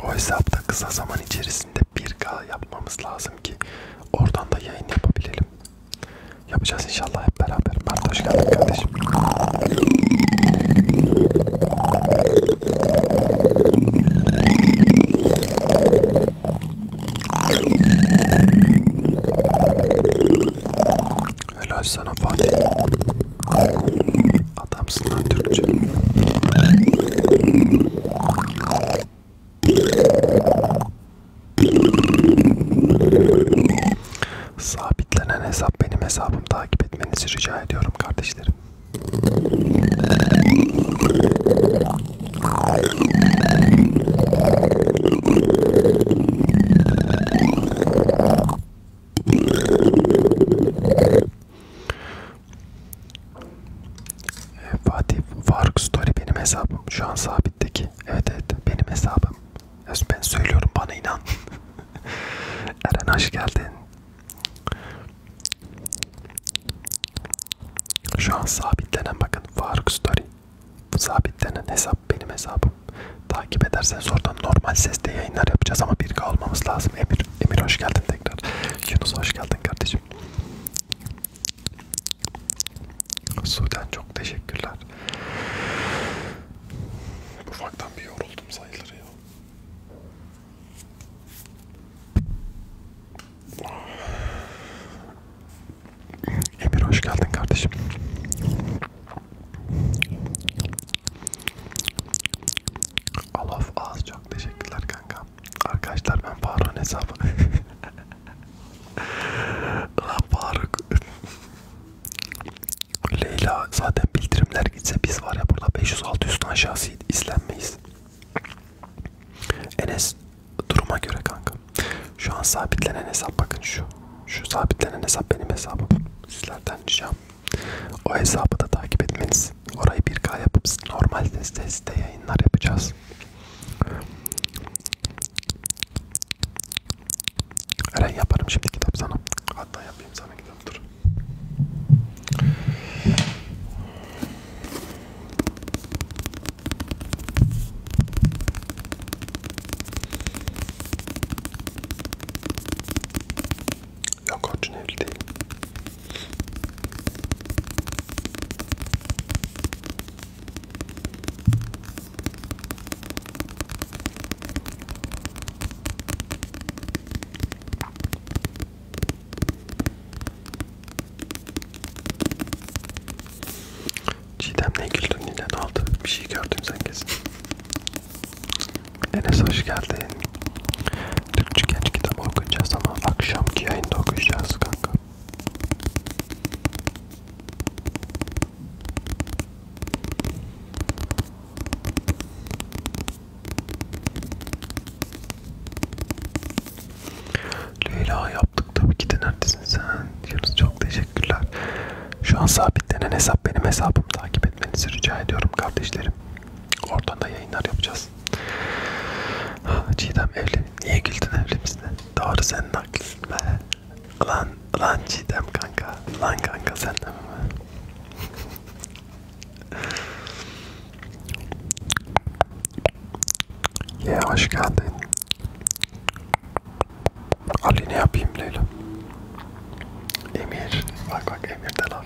O hesapta kısa zaman içerisinde 1K yapmamız lazım ki oradan da yayın yapabilelim. Yapacağız inşallah hep beraber. Mert hoş geldin kardeşim. Helal sana Fatih. Adamsın lan Türkçe. Sabitlenen hesap benim hesabım takip etmenizi rica ediyorum kardeşlerim. Ee, Fatih Faruk Story benim hesabım. Şu an sabitteki. Evet evet benim hesabım. Ben söylüyorum bana inan. Eren hoş geldin. Şu an sabitlenen bakın Faruk Story. Sabitlenen hesap benim hesabım. Takip ederseniz oradan normal sesle yayınlar yapacağız ama 1K olmamız lazım. Emir, Emir hoş geldin tekrar. Yunus hoş geldin kardeşim. Sudan çok teşekkürler. Ufaktan bir yoruldum sayılır ya. Emir hoş geldin kardeşim. Alaf ağız çok teşekkürler kanka. Arkadaşlar ben Faruk'un hesabı. Lan Faruk. Leyla zaten bildirimler gitse biz var ya burada 500-600'den aşağısı izlenmeyiz. Enes duruma göre kanka. Şu an sabitlenen hesap bakın şu. Şu sabitlenen hesap benim hesabım. Sizlerden ricam o hesabı da takip etmeniz. Orayı 1K yapıp normal sesle site yayınlar yapacağız. Eren yaparım şimdi kitap sana. Hatta yapayım sana kitap dur. Yok Orçun evli değil. Çiğdem'le ilgili dün neden aldı? Bir şey gördüm sen kesin. Enes hoş geldin. Türkçe genç kitabı okuyacağız ama akşamki yayında okuyacağız kanka. Leyla yaptık tabii ki de neredesin sen? Yunus çok teşekkürler. Şu an sabitlenen hesap benim hesabımı takip etmenizi rica ediyorum kardeşlerim. Oradan da yayınlar yapacağız. Ha, Cidem evli. Niye güldün evlimizde? Doğru senin haklısın be. Lan, lan Cidem kanka. Lan kanka sen de mi? Ye yeah, hoş geldin. Ali ne yapayım Leyla? Emir. Bak bak Emir de laf.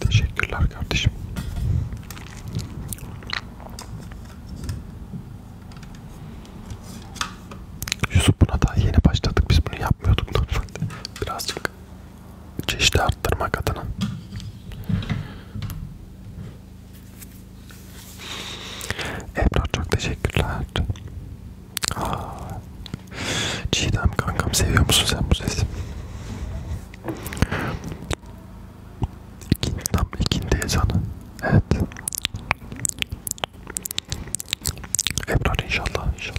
Teşekkürler kardeşim. Yusuf buna daha yeni başladık. Biz bunu yapmıyorduk normalde. Birazcık çeşidi arttırmak adına. Ebrar çok teşekkürler. Aa, Çiğdem kankam seviyor musun sen bu sesi? İkin, tam ikindi ezanı. Evet. Ebrar inşallah inşallah.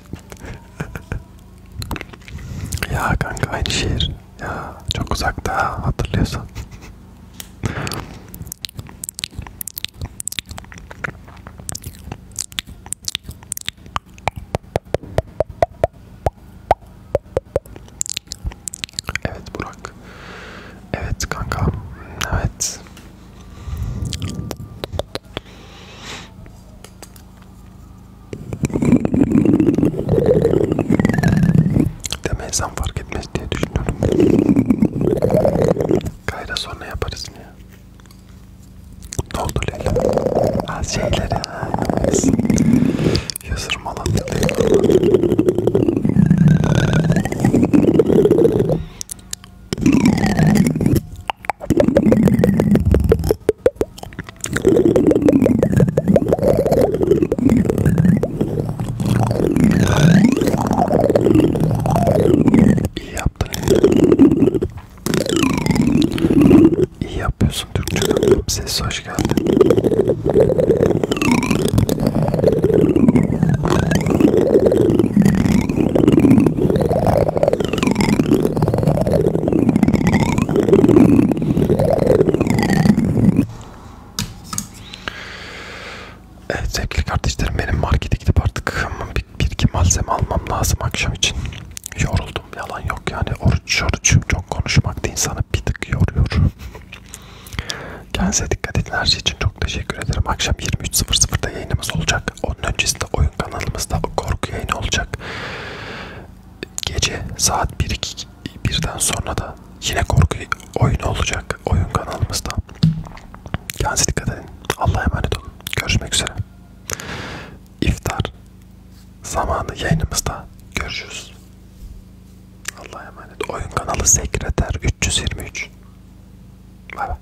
için. ya kanka aynı şehir. Ya çok uzakta hatırlıyorsan. Evet Burak. Evet kanka. Evet. Demezsem fark etmez diye düşünüyorum. Kayra sonra yaparız ya. Ne oldu Leyla? Ha şeyleri ha. Yazırmalan İyi yaptın. İyi yapıyorsun Türkçe. Ses hoş geldi. Evet sevgili kardeşlerim benim markete gidip artık bir, bir iki malzeme almam lazım akşam için. Yoruldum yalan yok yani oruç oruç çok konuşmak da insanı bir tık yoruyor. Kendinize dikkat edin her şey için çok teşekkür ederim. Akşam 23.00'da yayınımız olacak. Onun öncesinde oyun kanalımızda korku yayını olacak olacak. Gece saat 1-2 birden sonra da yine korku oyunu olacak oyun kanalımızda. Kendinize dikkat edin. Allah'a emanet olun. Görüşmek üzere. İftar zamanı yayınımızda görüşürüz. Allah'a emanet. Oyun kanalı sekreter 323. Bay bay.